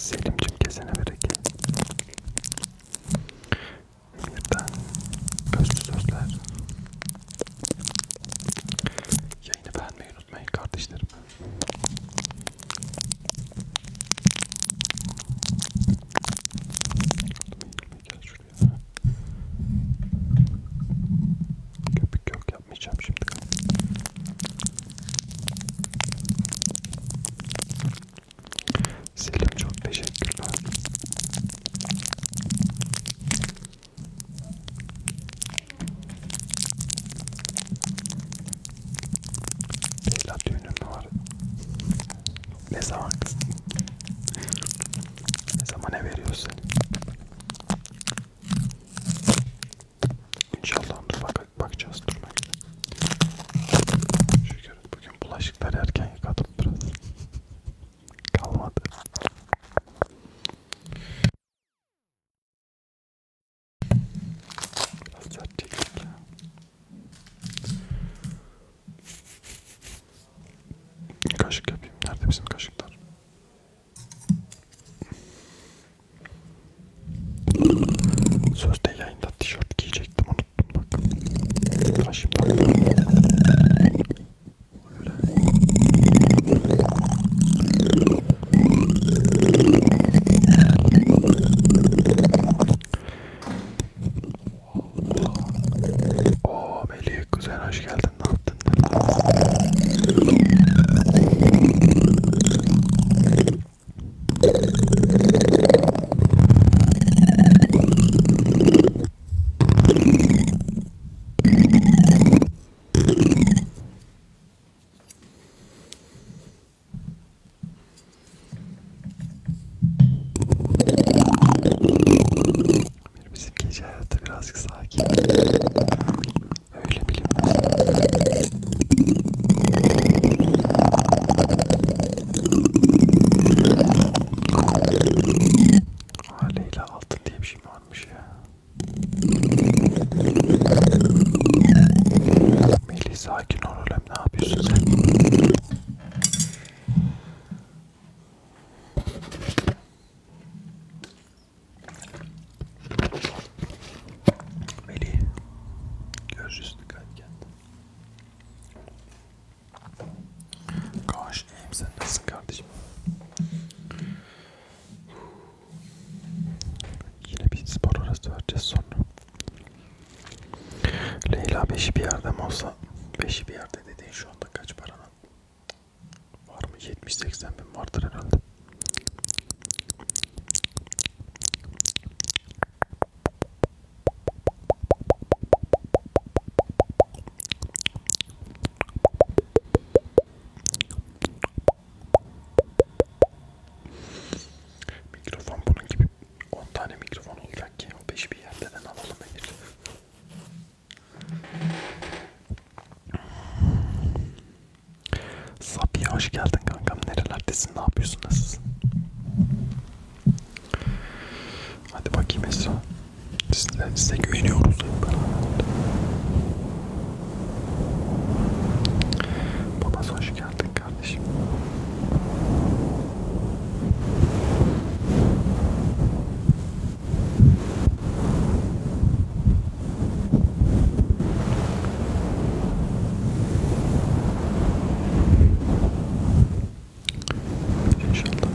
Selim'cim kesene bereket. Lütfen özlü sözler. Yayını beğenmeyi unutmayın kardeşlerim. Gel şuraya. Köpük yok yapmayacağım şimdi. Selim çok teşekkürler. Leyla düğünün var. Ne zaman kız? Ne zaman ne veriyorsun? İnşallah dur bak bakacağız durmak. Şu görün. Bugün bulaşıkları erken yıkadım biraz. Kalmadı. Biraz sert çektik ya. Kaşık yapayım. Nerede bizim kaşıklar? Sözde yayında tişört giyecektim unuttum. Bak. Kaşım bak. Öyle. Oo Melih kuzen hoş geldin. Ne yaptın? Bizim gece hayatı birazcık sakin. Öyle bilin. Ha Leyla altın diye bir şey varmış ya. Melih sakin ol oğlum ne yapıyorsun sen? Melih görüşürüz dikkat kendine. Kaş iyiyim sen nasılsın kardeşim? Yine bir spor arası vereceğiz sonra. Leyla 5'i bir yerde mi olsa 5'i bir yerde dediğin şu anda kaç paranın? Var mı? 70-80 bin vardır herhalde. Mikrofon bunun gibi 10 tane mikrofon olacak ki o 5 bir yerden alalım Emir. Sabiha hoş geldin kankam. Nerelerdesin? Ne yapıyorsun? Nasılsın? Hadi bakayım Esra. Size, size güveniyoruz hep beraber. Babası hoş geldin kardeşim. İnşallah.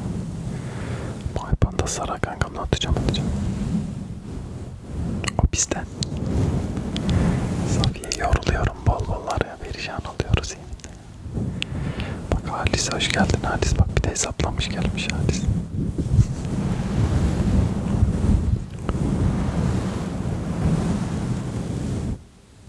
Maypan da sarar kankam. Ne atacağım atacağım. O bizde. Safiye yoruluyorum. Bol bol araya verişan oluyoruz yeminle. Bak Halis hoş geldin Halis. Bak bir de hesaplamış gelmiş Halis.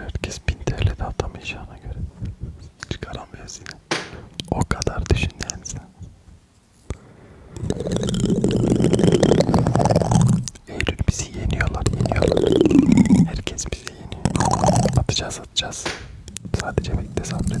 Herkes 1000 TL'de atamayacağına göre çıkaramıyoruz yine. O kadar düşün yani sen. 50 bizi yeniyorlar, yeniyorlar. Herkes bizi yeniyor. Atacağız, atacağız. Sadece bekle sabret.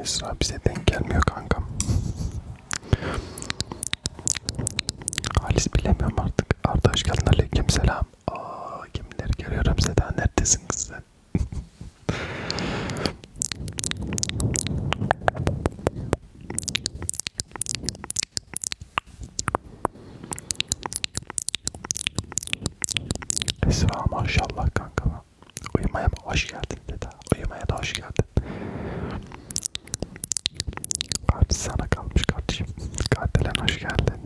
Esra bize denk gelmiyor kankam. Halis bilemiyorum artık. Arda hoş geldin. Aleyküm selam. Aa, kimleri görüyorum Seda. Neredesin kız sen? Esra maşallah kanka. Uyumaya mı hoş geldin dedi. Uyumaya da hoş geldin. Artık sana kalmış kardeşim. Katilen hoş geldin.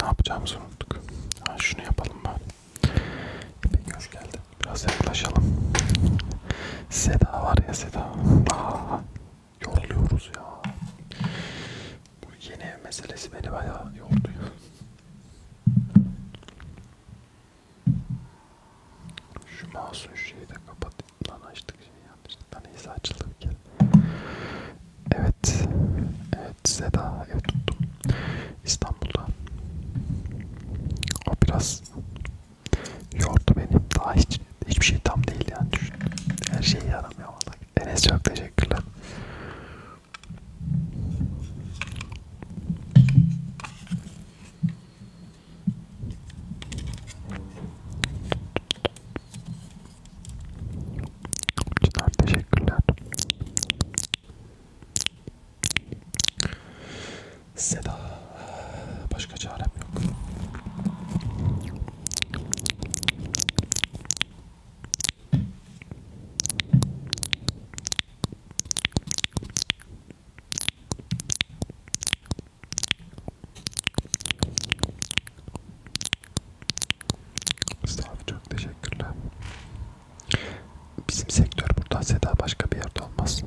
Ne yapacağımızı unuttuk. Ha, şunu yapalım bari. Peki hoş geldin. Biraz yaklaşalım. Seda var ya Seda. Aa, yoruluyoruz ya. Bu yeni ev meselesi beni bayağı yordu ya. Şu masum şeyi de kapatayım. Lan açtık şeyi yanlışlıkla. Neyse açıldı bir kere. Evet. Evet Seda ev tuttum. İstanbul'da. O biraz yordu beni. Daha hiç, hiçbir şey tam değil yani düşün. Her şeyi yaramıyor vallahi. Enes çok teşekkürler. Çınar teşekkürler. Seda. Başka çarem yok. Mustafa çok teşekkürler. Bizim sektör burada Seda başka bir yerde olmaz.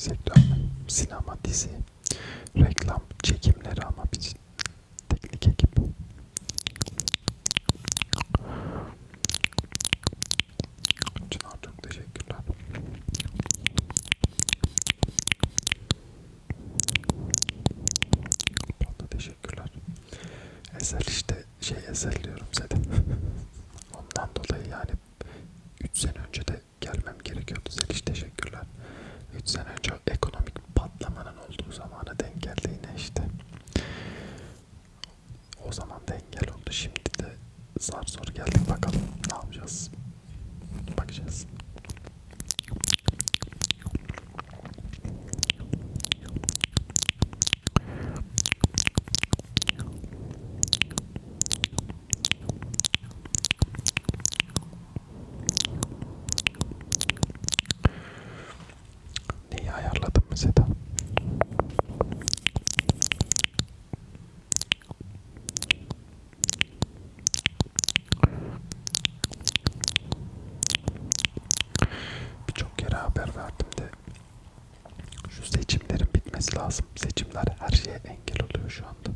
Sektör, sinema, dizi, reklam, çekimleri ama biz teknik ekip. Çınar çok teşekkürler. Bana teşekkürler. Ezel işte şey ezel diyorum zaten. Ondan dolayı yani 3 sene önce de gelmem gerekiyordu. Zeliş teşekkürler. 3 sene önce ekonomik patlamanın olduğu zamana denk geldi yine işte. O zaman da engel oldu. Şimdi de zar zor geldik bakalım ne yapacağız bakacağız Neyi ayarladım mesela? Birçok yere haber verdim de şu seçimlerin bitmesi lazım. Seçimler her şeye engel oluyor şu anda.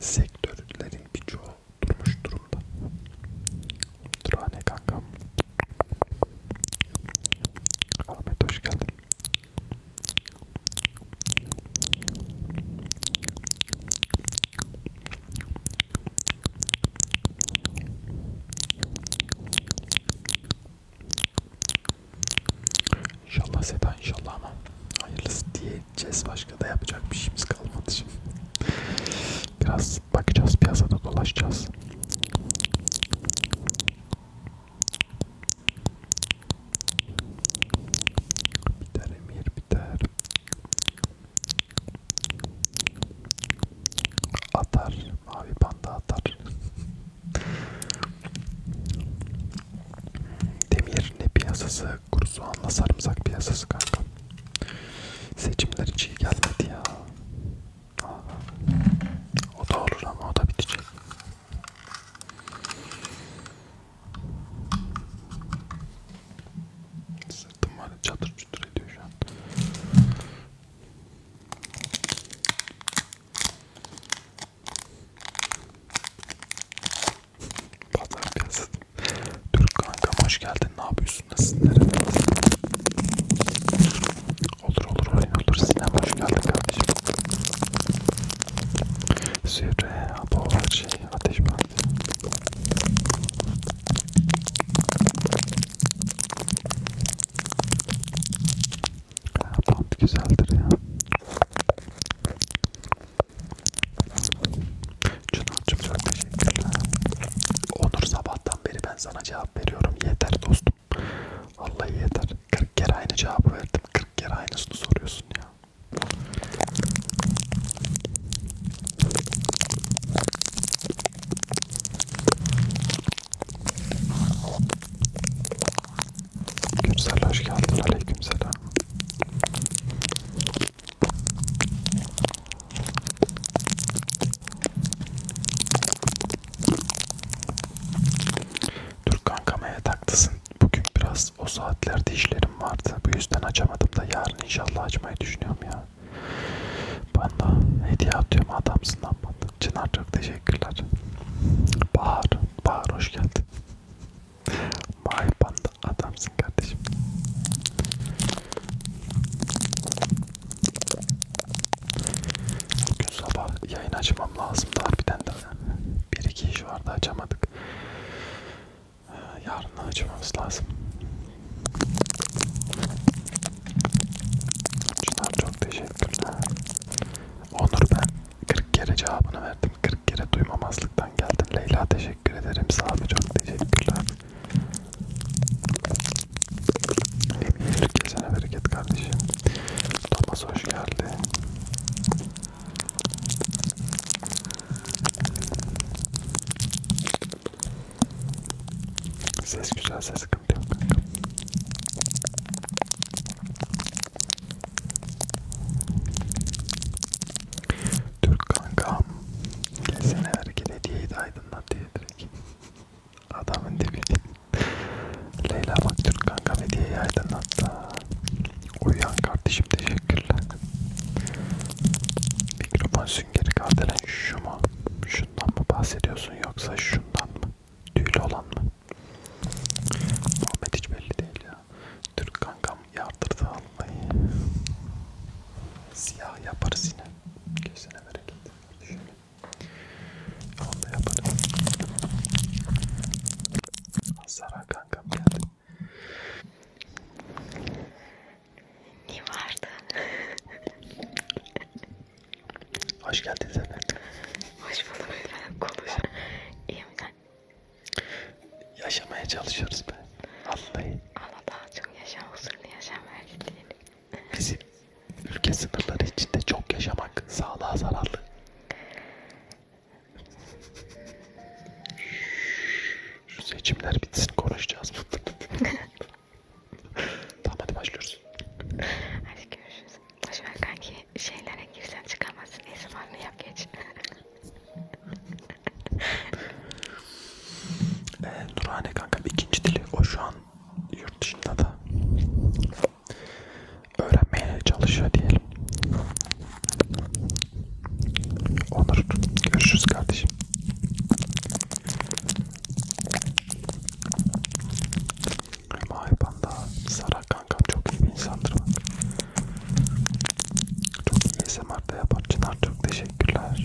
Sektörlerin birçoğu durmuş durumda. Durane kankam. Ahmet hoş geldin. İnşallah Seda inşallah ama hayırlısı diyeceğiz başka da yapacak bir şeyimiz kalmadı şimdi. Biraz bakacağız piyasada dolaşacağız. Biter emir biter. Atar. Mavi panda atar. Demir ne piyasası? Kuru soğanla sarımsak piyasası kanka. Seçimler hiç iyi gelmedi ya. Aa, o da olur ama o da bitecek. Sırtım var çatır çutur ediyor şu an. Pazar piyasası. Türk kankam hoş geldin. Ne yapıyorsun? Nasılsın? Nerede? Olur olur oraya olur. Sinem hoş geldin kardeşim. Zühre, Apovaci, şey, Ateş Bandı. Band güzeldir ya. Çınar'cım çok teşekkürler. Onur sabahtan beri ben sana cevap veriyorum. Yeter dostum. Vallahi yeter. 40 kere aynı cevabı verdim. 40 kere aynısını soruyorsun ya. Güzel hoş geldin. Aleykümselam. Dur kankam evet haklısın. Bugün biraz o saatlerde işlerim vardı. Bu yüzden açamadım da yarın inşallah açmayı düşünüyorum ya. Bana hediye atıyorum adamsın lan bana. Çınar çok teşekkürler. Bahar, Bahar hoş geldin. Vay banda adamsın kardeşim. Bugün sabah yayın açmam lazımdı harbiden de. Bir iki iş vardı açamadık yarın açmamız lazım. Şunlar çok teşekkürler. Onur ben 40 kere cevabını verdim. 40 kere duymamazlıktan geldim. Leyla teşekkür ederim. Sağ çok teşekkürler. Emin ol kesene bereket kardeşim. Thomas hoş geldin. Ses güzel, ses sıkıntı yok kanka. Türk kankam, kesin hareket hediyeyi de aydınlat diye direkt. Adamın dibi. Leyla bak Türk kankam hediyeyi aydınlattı. Uyuyan kardeşim teşekkürler. Mikrofon süngeri kardelen şu mu? Şundan mı bahsediyorsun yoksa şundan mı? Tüylü olan mı? Muhammed hiç belli değil ya. Türk kankam yardırdı Allah'ı. Siyah yaparız yine. Gözüne bereket. Şöyle. Onu da yaparız. Zara kankam geldi. Ne vardı? Hoş geldiniz efendim. Hoş bulduk efendim. Konuş. İyi misin? Yaşamaya çalışıyoruz be. Vallahi. Allah daha çok yaşa, huzurlu yaşam verdiğini. Bizim ülke sınırları içinde çok yaşamak sağlığa zararlı. Şu seçimler bitsin konuşacağız. tamam hadi başlıyoruz. Hadi görüşürüz. Boşver kanki şeylere girsen çıkamazsın. Ne zamanlı yap geç. ee, Nurhane kanka ikinci dili o şu an yurt dışında da öğrenmeye çalışıyor diyelim. Onur görüşürüz kardeşim. Mahi Panda Sara kankam çok iyi bir insandır bak. Çok iyi ASMR'da yapar Çınar çok teşekkürler.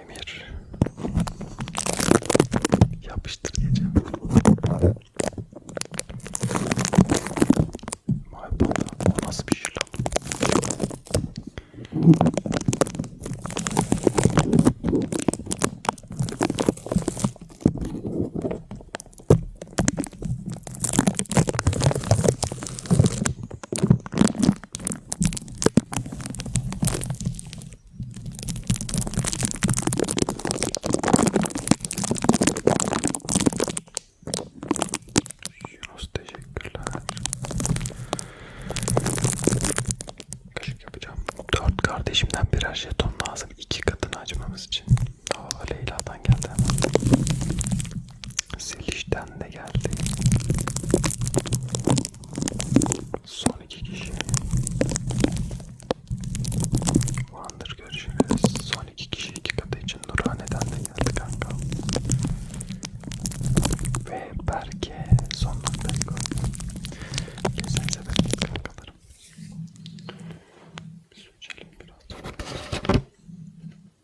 Emir yapıştır diyeceğim. Vay bana o nasıl bir şey lan? Yunus teşekkürler. Kaşık yapacağım. Dört kardeşimden birer jeton lazım. iki katını açmamız için. Hava Leyla'dan geldi hemen. Seliş'ten de geldi. Son iki kişi. Vandır görüşürüz. Son iki kişi iki katı için Nurhane'den de geldi kanka. Ve Berke son noktayı koydu. Kesin sebep kankalarım. Bir su içelim biraz.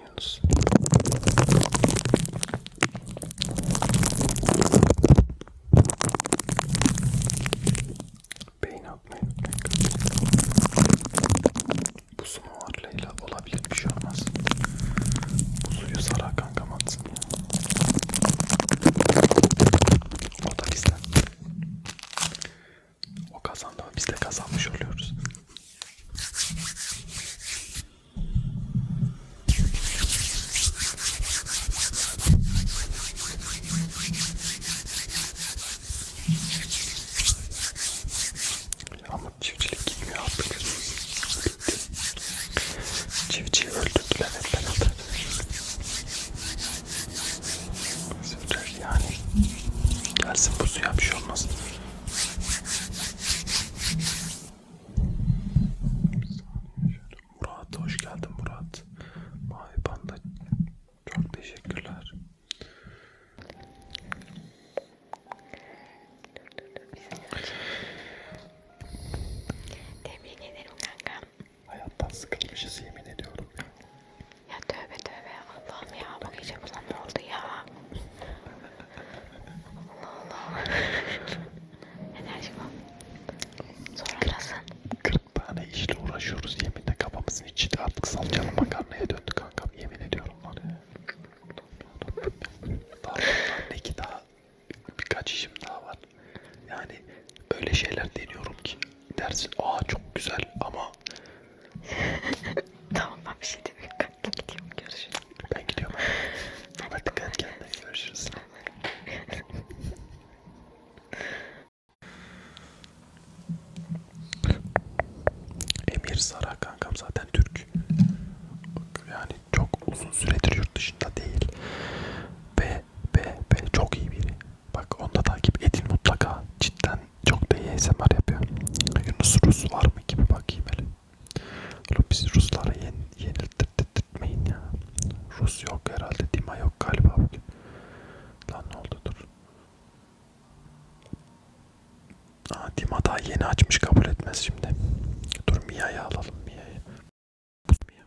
lan Yunus. Beyin atmayın. Bu sumo var Leyla. Olabilir bir şey olmaz. Bu suyu sarar kankam atsın ya. O da bizden. O kazandı ama biz de kazanmış oluyoruz. Ama çiftçilik gitmiyor artık. Çiftçiyi öldürdüler hep beraber. Sürler yani. Gelsin bu suya bir şey olmasın. Bir saniye şöyle. Murat hoş geldin Murat. Mavi Panda çok teşekkürler. Tebrik ederim kankam. Hayattan sıkılmışız yemin ediyorum ya. Ya tövbe tövbe Allah'ım ya bu gece buna ne oldu ya? Allah Allah. Enerji var. Sonra biraz. 40 tane işle uğraşıyoruz. Yeminle kafamızın içi de artık salçalı makarnaya döndü kankam. Yemin ediyorum var ya. Daha bundan iki daha birkaç işim daha var. Yani öyle şeyler deniyorum ki dersin aa çok güzel ama tamam ben bir şey demiyorum. Gidiyorum görüşürüz. Ben gidiyorum. Hadi dikkat kendine görüşürüz. Emir Sara kankam zaten Türk. Yani çok uzun süredir yurt dışında değil. Ve ve ve çok iyi biri. Bak onu da takip edin mutlaka. Cidden çok da iyi ASMR yapıyor. Yunus Rus var mı gibi bakayım hele. Oğlum biz Ruslara yen, yenildirtmeyin ya. Rus yok herhalde. Dima yok galiba bugün. Lan ne oldu dur. Aa, Dima daha yeni açmış kabul etmez şimdi. Dur Mia'yı alalım Mia'yı. Buz Mia.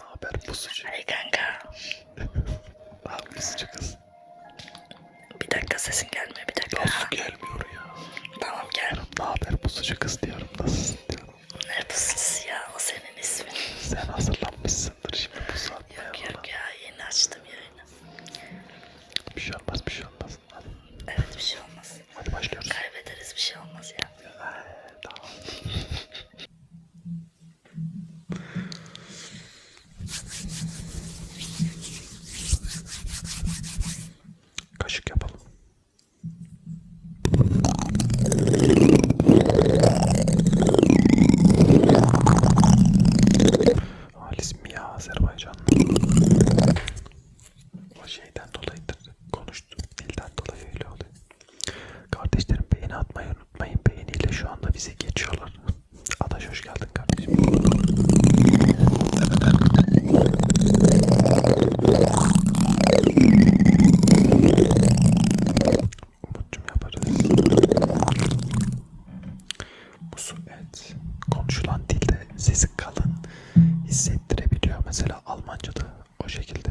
Ne haber pusucu? Hey kanka. ne haber pusucu kız? Bir dakika sesin gelmiyor bir dakika. Nasıl gelmiyor ya? Tamam gel. Ne haber pusucu kız diyorum nasılsın diyorum. Ne pusucusu ya o senin ismin. Sen hazırlanmışsındır şimdi bu saatte. Yok yok bana. ya yeni açtım yayını. Bir şey olmaz bir şey olmaz. Hadi. Evet bir şey olmaz. Hadi başlıyoruz. Kaybederiz bir şey olmaz ya. ya tamam. Kaşık yapalım. Halis mi ya Azerbaycanlı? O şeyden dolayıdır. Konuştu. Dilden dolayı öyle oluyor. Kardeşlerim beğeni atmayı unutmayın. Beğeniyle şu anda bizi geçiyorlar. Adaş Hoş geldin kardeşim. Umut'cum yaparız. Musu evet. Konuşulan dilde sesi kalın hissettirebiliyor. Mesela Almanca'da o şekilde.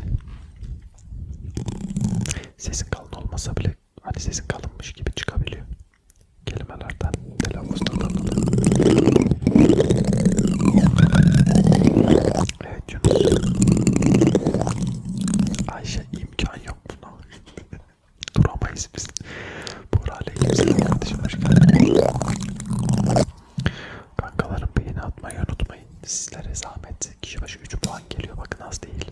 Sesin kalın olmasa bile hani sesin kalınmış gibi çıkabiliyor kelimelerden telaffuzdan Evet Yunus Ayşe imkan yok buna Duramayız biz Buğra Aleyhisselam kardeşim hoş geldin Kankalarım beğeni atmayı unutmayın Sizlere zahmet kişi başı 3 puan geliyor bakın az değil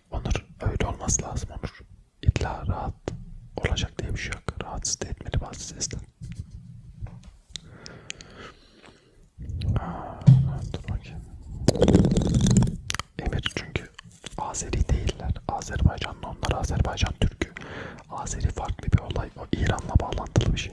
Onur öyle olması lazım Onur. İlla rahat olacak diye bir şey yok. Rahatsız da etmeli bazı sesler. Aa, dur bakayım. Emir çünkü Azeri değiller. Azerbaycanlı onlar Azerbaycan Türk'ü. Azeri farklı bir olay. O İran'la bağlantılı bir şey.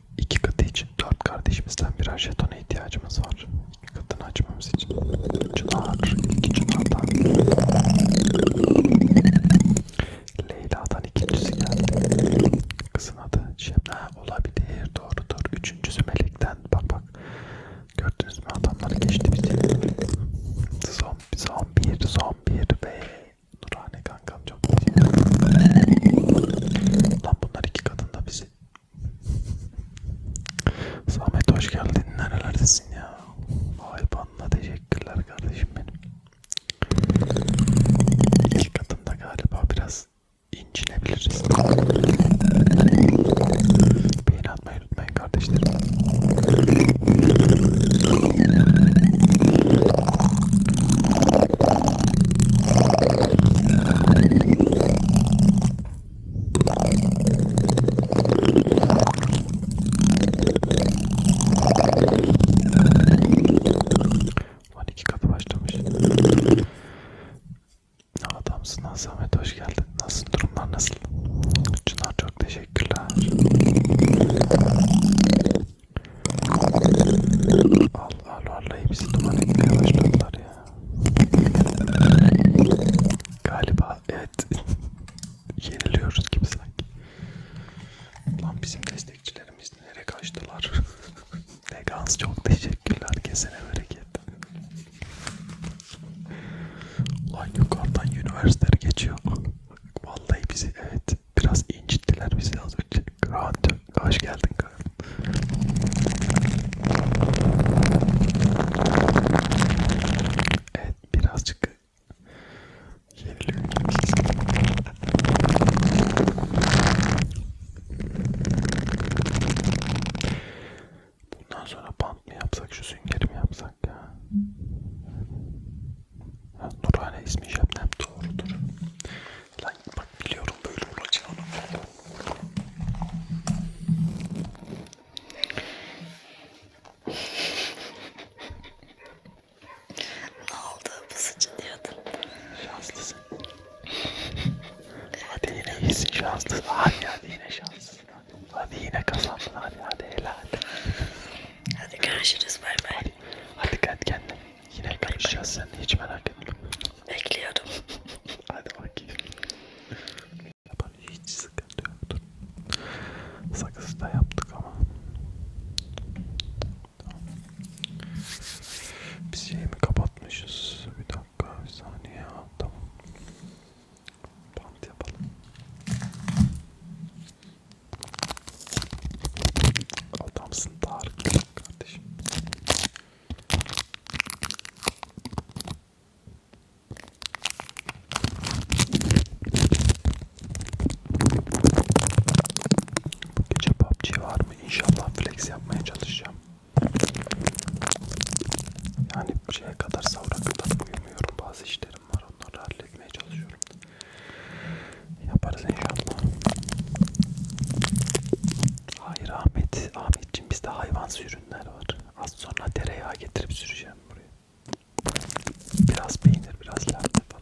İki katı için dört kardeşimizden birer jetona ihtiyacımız var. İki katını açmamız için. Çınar, iki Çınar'dan. Leyla'dan ikincisi geldi. Kızın adı Şemna olabilir. Doğrudur. Üçüncüsü Melek'ten. Bak bak. Gördünüz mü adamları geçti bizi. Zombi, zombi, zombi ve Nurhane kankam çok güzel. Lan bunlar iki kadın da bizi Samet hoş geldin. Nerelerdesin ya? Vay panla teşekkürler kardeşim benim. İlk adımda galiba biraz incinebiliriz. Beğeni atmayı unutmayın kardeşlerim. Van iki katı başlamış. Ne adamsın Ahmet hoş geldin. Nasıl durumlar nasıl? Çınar çok teşekkürler. Al al vallahi bizi duman etmeye başladılar ya. Galiba evet yeniliyoruz gibi sanki. Lan bizim destekçilerimiz nereye kaçtılar? Legans çok teşekkürler kesene bereket. Lan yukarıdan üniversiteler geçiyor. Vallahi bizi evet biraz incittiler bizi az önce. Rahat Hoş geldin Kaan. Evet birazcık yeniliyorum. Bundan sonra bant mı yapsak, şu süngeri mi yapsak ya? ya Nurhane ismi Şebnem doğrudur. Lan bak biliyorum böyle olacağını. ne oldu bu saçı diyordun? Şanslısın. Evet. Hadi yine iyisin şanslısın. Hadi hadi yine şanslısın. Hadi yine kazandın hadi hadi helal. Hadi görüşürüz bay bay. Hadi, hadi kendine. Yine görüşeceğiz sen hiç merak etme. Bekliyordum. Hadi bakayım. Yapalım hiç sıkıntı yoktur. Sakızı da yaptık ama. Tamam. Biz şeyi mi kapatmışız? Bir dakika, bir saniye ya. Tamam. Bant yapalım. Adamsın Tarık kardeşim. Gece PUBG var mı? İnşallah flex yapmaya çalışacağım. Yani şeye kadar savra kadar uyumuyorum. Bazı işlerim var. Onları halletmeye çalışıyorum. Yaparız inşallah. Hayır Ahmet, Ahmet Şimdi bizde hayvansı ürünler var. Az sonra tereyağı getirip süreceğim buraya. Biraz peynir, biraz latte falan.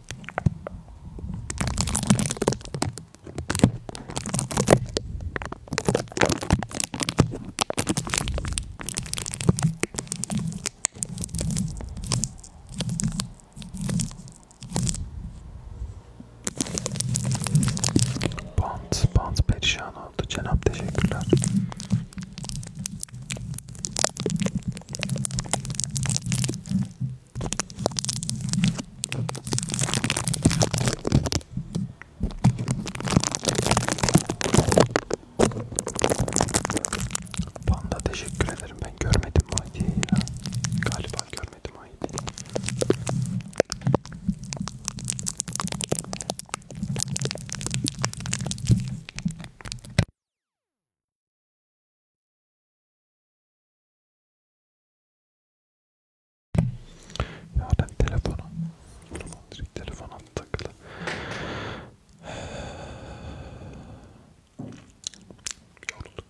Bant, bant perişan oldu. Cenap teşekkürler. Panda teşekkür ederim. Ben görmedim Mahdi'yi ya. Galiba görmedim Mahdi'yi. Yarın telefonu. Direkt telefona takılı. Yorulduk.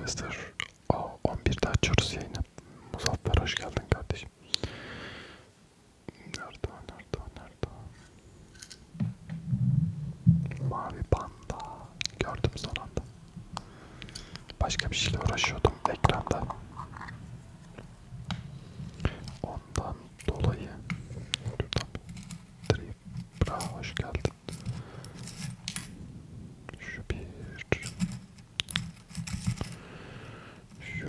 Yester. Aa, 11'de açıyoruz yayını. Muzaffer hoş geldin kardeşim. Nerede o, nerede o, nerede o? Mavi panda. Gördüm son anda. Başka bir şeyle uğraşıyordum ekranda. Ondan dolayı. Bravo, hoş geldin. Şu bir... Şu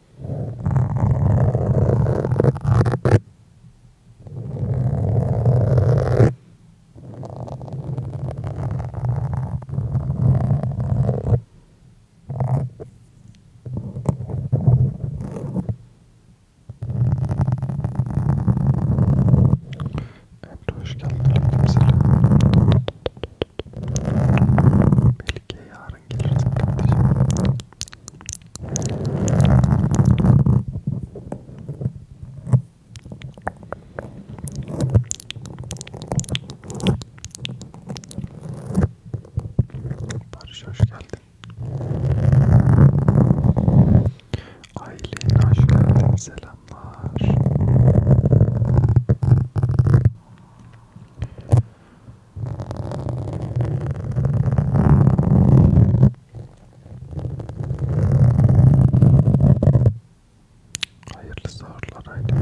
Emre hoş geldin. Melike ya yarın gelirsin kardeşim. Barış hoş geldin. Aylin hoş geldin. Selamlar. Hayırlı sahurlar haydi.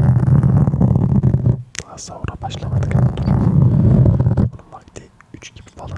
Daha sahura başlamadık. Dur. Onun vakti 3 gibi falan.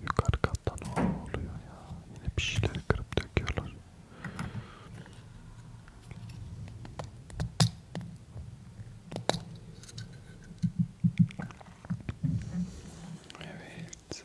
Yukarı katta ne oluyor ya? Yine bir şeyleri kırıp döküyorlar. Evet.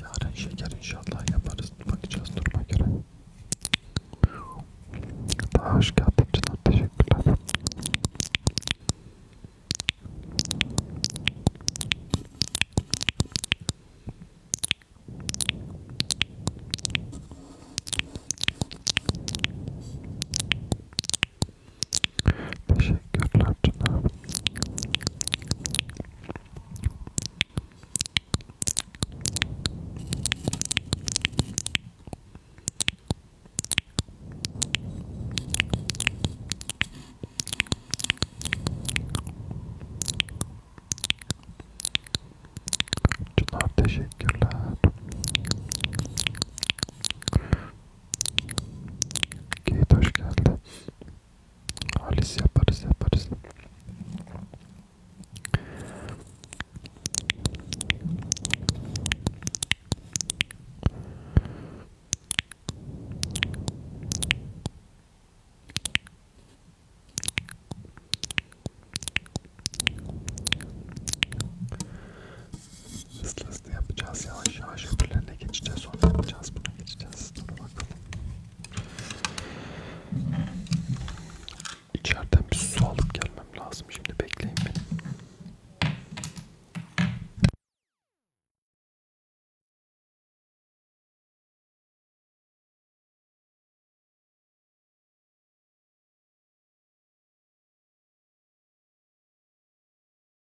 Yarın şeker inşallah yaparız. Bakacağız duruma göre. Daha hoş geldin Çınar. Teşekkürler. Teşekkürler Çınar. Çınar teşekkürler. Kate hoş geldin. Halis yaparız yaparız. Hızlı hızlı yapacağız. Yavaş yavaş öbürlerine geçeceğiz. Sonra yapacağız. Buna geçeceğiz. Dur bakalım. İçeriden bir su alıp gelmem lazım. Şimdi bekleyin beni.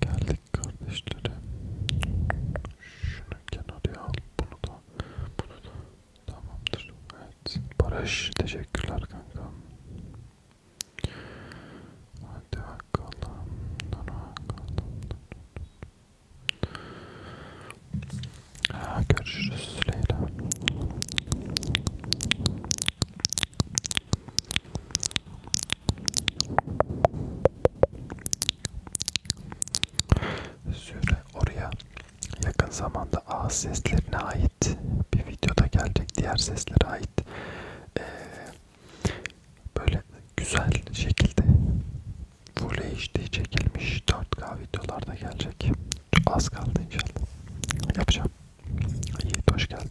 Geldik kardeşlerim. Şunu kenara al. Bunu da. Bunu da. Tamamdır. Evet. Barış teşekkürler kanka. Hadi bakalım. Hadi bakalım. Ha, görüşürüz Leyla. Süre oraya yakın zamanda ağız seslerine ait bir videoda gelecek diğer seslere ait ee, böyle güzel şekilde Full HD çekilmiş 4K videolarda gelecek. Az kaldı inşallah. Yapacağım. İyi, hoş geldin.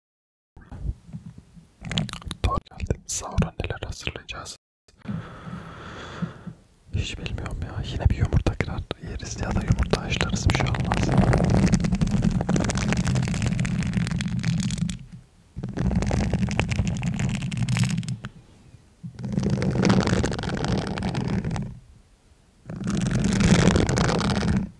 Doğru geldim. Sahura neler hazırlayacağız? Hiç bilmiyorum ya. Yine bir yumurta kırar yeriz ya da yumurta haşlarız bir şey olmaz.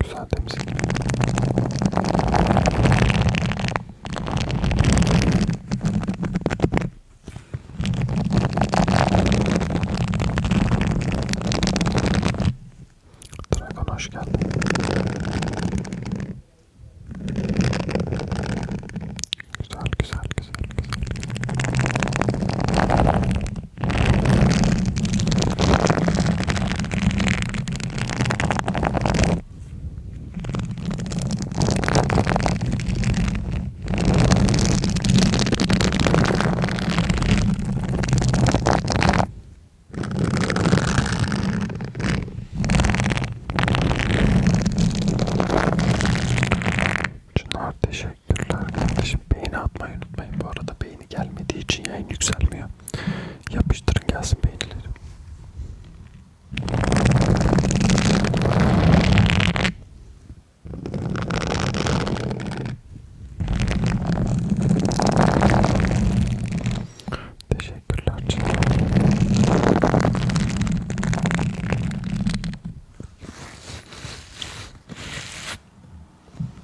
Güzel temizlik. Dragon hoş geldin. Güzel, güzel, güzel, güzel. Çınar teşekkürler kardeşim. Beğeni atmayı unutmayın. Bu arada beğeni gelmediği için yayın yükselmiyor. Yapıştırın gelsin peynirleri. Teşekkürler canım.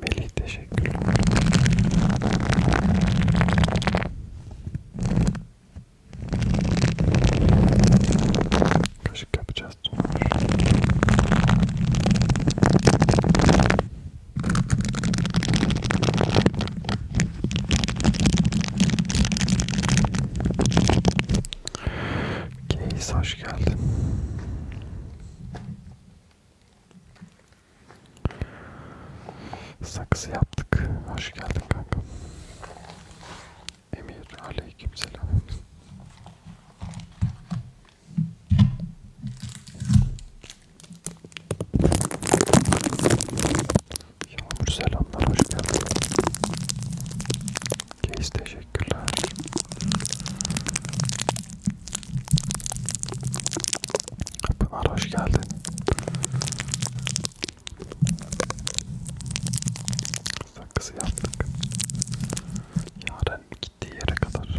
Melih teşekkürler. Kaşık yapacağız. Keys hoş geldin. Saksı yaptık. Hoş geldin kanka. Emir aleykümselam. Yağmur selamlar hoş geldin. Keis teşekkürler. Pınar hoş geldin. Sakızı yaptık. Yarın gittiği yere kadar.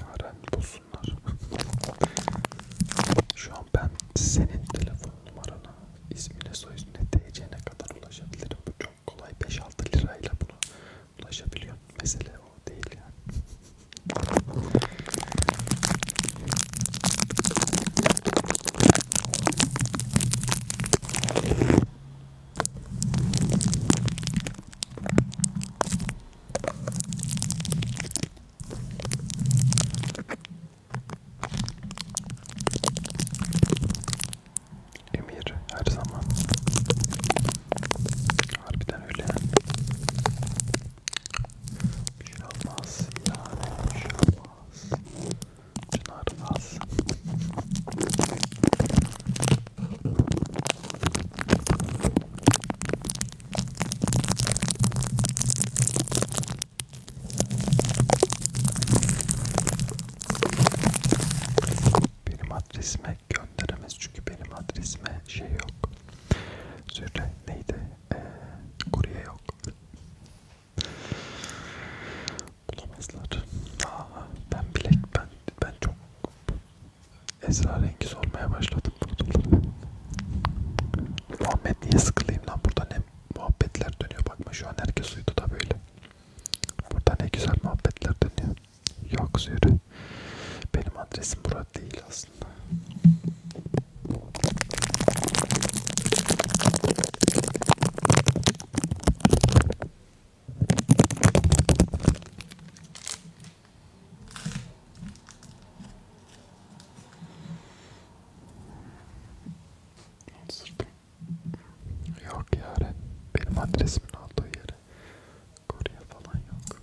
Yaren bulsunlar. Şu an ben senin telefon numarana, ismine, soyismine, TC'ne kadar ulaşabilirim. Bu çok kolay. 5-6 lirayla bunu ulaşabiliyorum. Mesele o değil yani. Emir her zaman harbiden öyle bir şey olmaz yani bir şey olmaz. Çınar az. Benim adresime gönderemez çünkü benim adresime şey yok. Zürre neydi? kurye yok. Bulamazlar. Aa, ben bilek ben ben çok esrarengi sormaya başladım burada. Muhammed niye sıkılayım lan burada ne muhabbetler dönüyor bakma şu an herkes uyudu da böyle. Burada ne güzel muhabbetler dönüyor. Yok zürü. Benim adresim burada değil aslında olmasın. Sırtım. Yok yare. Benim adresimin olduğu yere. Koruya falan yok.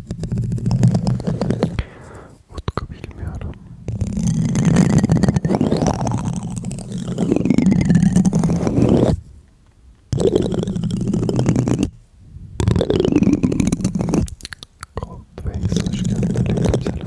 Utku bilmiyorum. Coldways hoş geldin. Aleykümselam.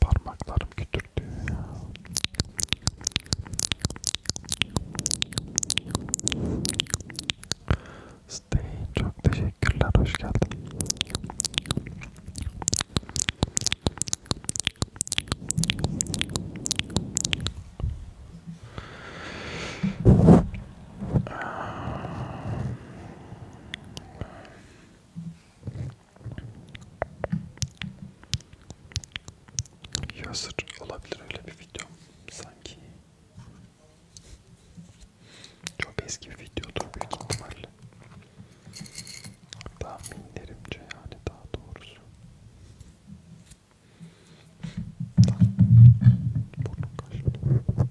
Parmaklarım kütürdü ya. Stay çok teşekkürler hoş geldin. Yazır olabilir öyle bir video sanki. Çok eski bir videodur büyük ihtimalle. Tahminlerimce yani daha doğrusu. Burnum kaşındı.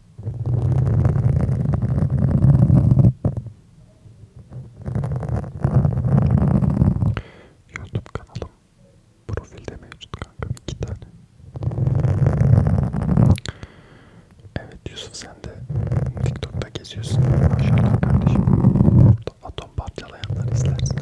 YouTube kanalım profilde mevcut kankam iki tane. Evet Yusuf sen de TikTok'ta geziyorsun. Maşallah kardeşim. Burada atom parçalayanlar izlersin.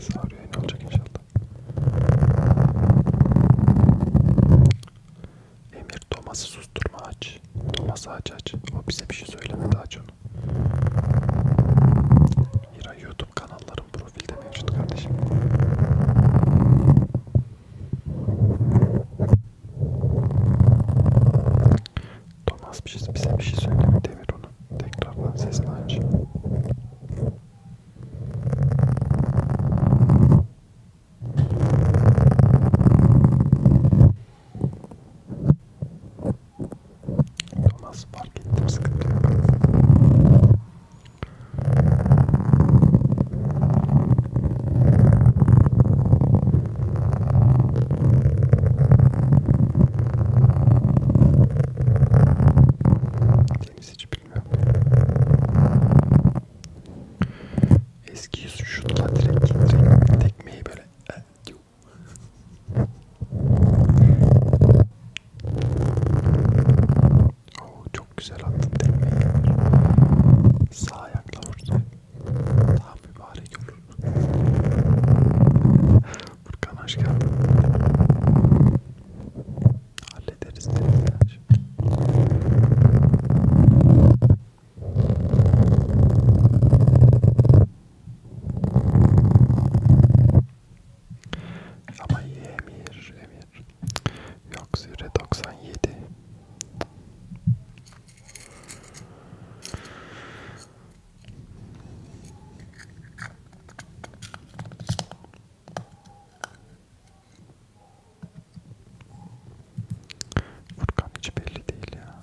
Sarı yayın olacak inşallah. Emir Thomas'ı susturma aç. Thomas aç aç. O bize bir şey söylemedi aç onu. Hira YouTube kanalların profilde mevcut kardeşim. Thomas bir şey, bize bir şey söyleme Demir onu. Tekrardan sesini aç. Thomas fark ettim sıkıntı yok. Deniz hiç bilmiyorum. Eski yüzü şutla direkt, direkt tekmeyi böyle e, Oo, çok güzel attın tekmeyi. Sağ ayakla vurdu. Daha mübarek olur. Burkan hoş geldin. Hallederiz dediler. Ama iyi Emir, Emir. Yok Züre 97. Furkan hiç belli değil ya.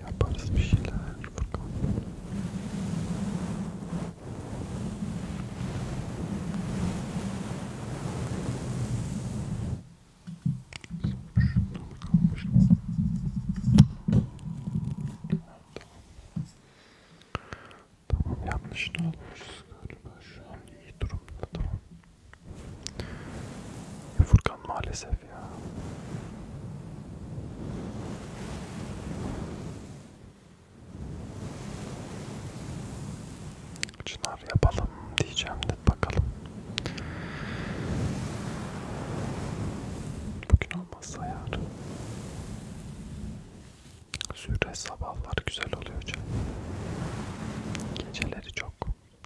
Yaparız bir şeyler bakalım. Tamam yanlış ne olmuş galiba şu an iyi durumda tamam. Furkan maalesef ya. Çınar yapalım diyeceğim de bakalım. Bugün olmazsa yarın. Zühre sabahlar güzel oluyor canım. Geceleri çok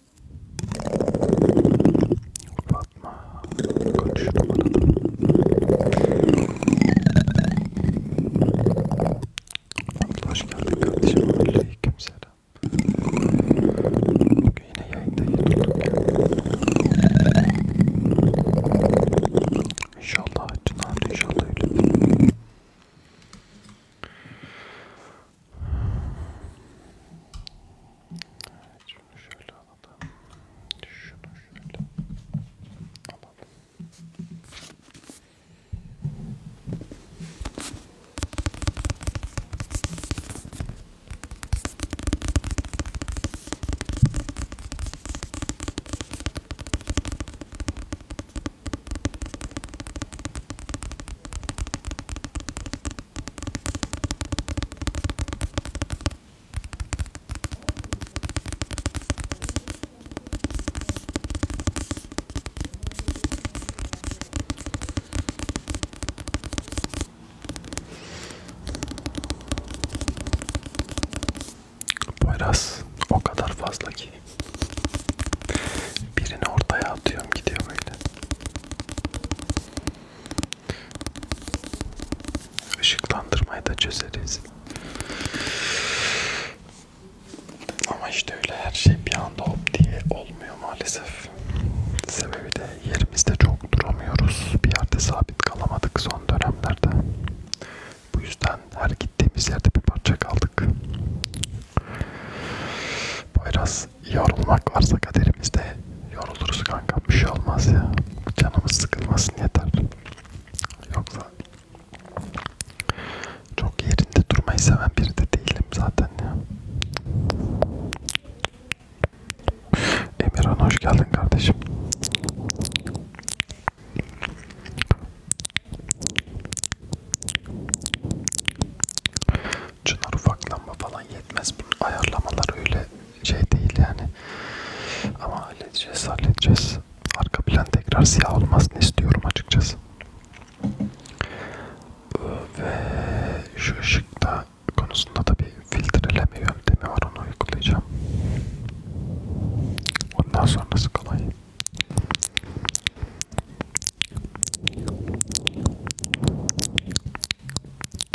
Fatma kaç numarada? Fatma hoş geldin kardeşim. Aleykümselam. Bugün yine yayındayız. İnşallah Çınar inşallah öyle. Evet, şunu şöyle alalım. Şunu şöyle alalım. Poyraz o kadar fazla ki birini ortaya atıyorum gidiyor böyle Işıklandırmayı da çözeriz. Ama işte öyle her şey bir anda hop diye olmuyor maalesef. Sebebi de yerimizde çok duramıyoruz. Bir yerde sabit kalamadık son dönemlerde. Bu yüzden her gittiğimiz yerde bir parça kaldık. Poyraz yorulmak varsa kaderimizde yoruluruz kanka. Bir şey olmaz ya. Canımız sıkılmasın yeter. Yoksa çok yerinde durmayı seven biri de değilim zaten ya. Emirhan hoş geldin kardeşim çınar ufaklanma falan yetmez. Bunun ayarlamalar öyle şey değil yani. Ama halledeceğiz, halledeceğiz. Arka plan tekrar siyah olmasını istiyorum açıkçası. Ve şu ışıkta konusunda da bir filtreleme yöntemi var onu uygulayacağım. Ondan sonrası kolay.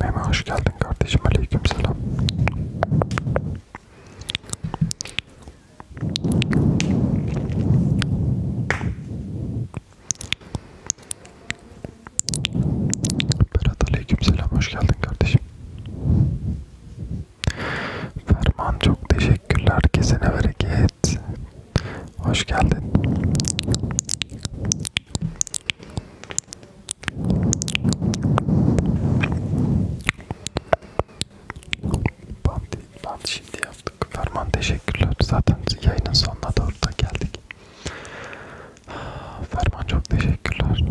Meme hoş geldin kardeşim. Aleyküm selam. Berat aleyküm selam. Hoş geldin kardeşim. Ferman çok teşekkürler. Kesene bereket. Evet. Hoş geldin. Bant, bant şimdi yaptık. Ferman teşekkürler. Zaten yayının sonuna doğru da geldik. Ferman çok teşekkürler.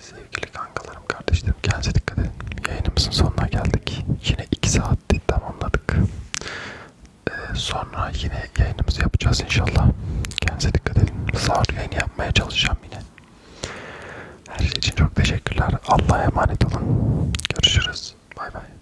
Sevgili kankalarım, kardeşlerim kendinize dikkat edin. Yayınımızın sonuna geldik. Yine 2 saatti tamamladık. Ee, sonra yine yayınımızı yapacağız inşallah. Kendinize dikkat edin. Sağır yayını yapmaya çalışacağım yine. Her şey için çok teşekkürler. Allah'a emanet olun. Görüşürüz. Bay bay.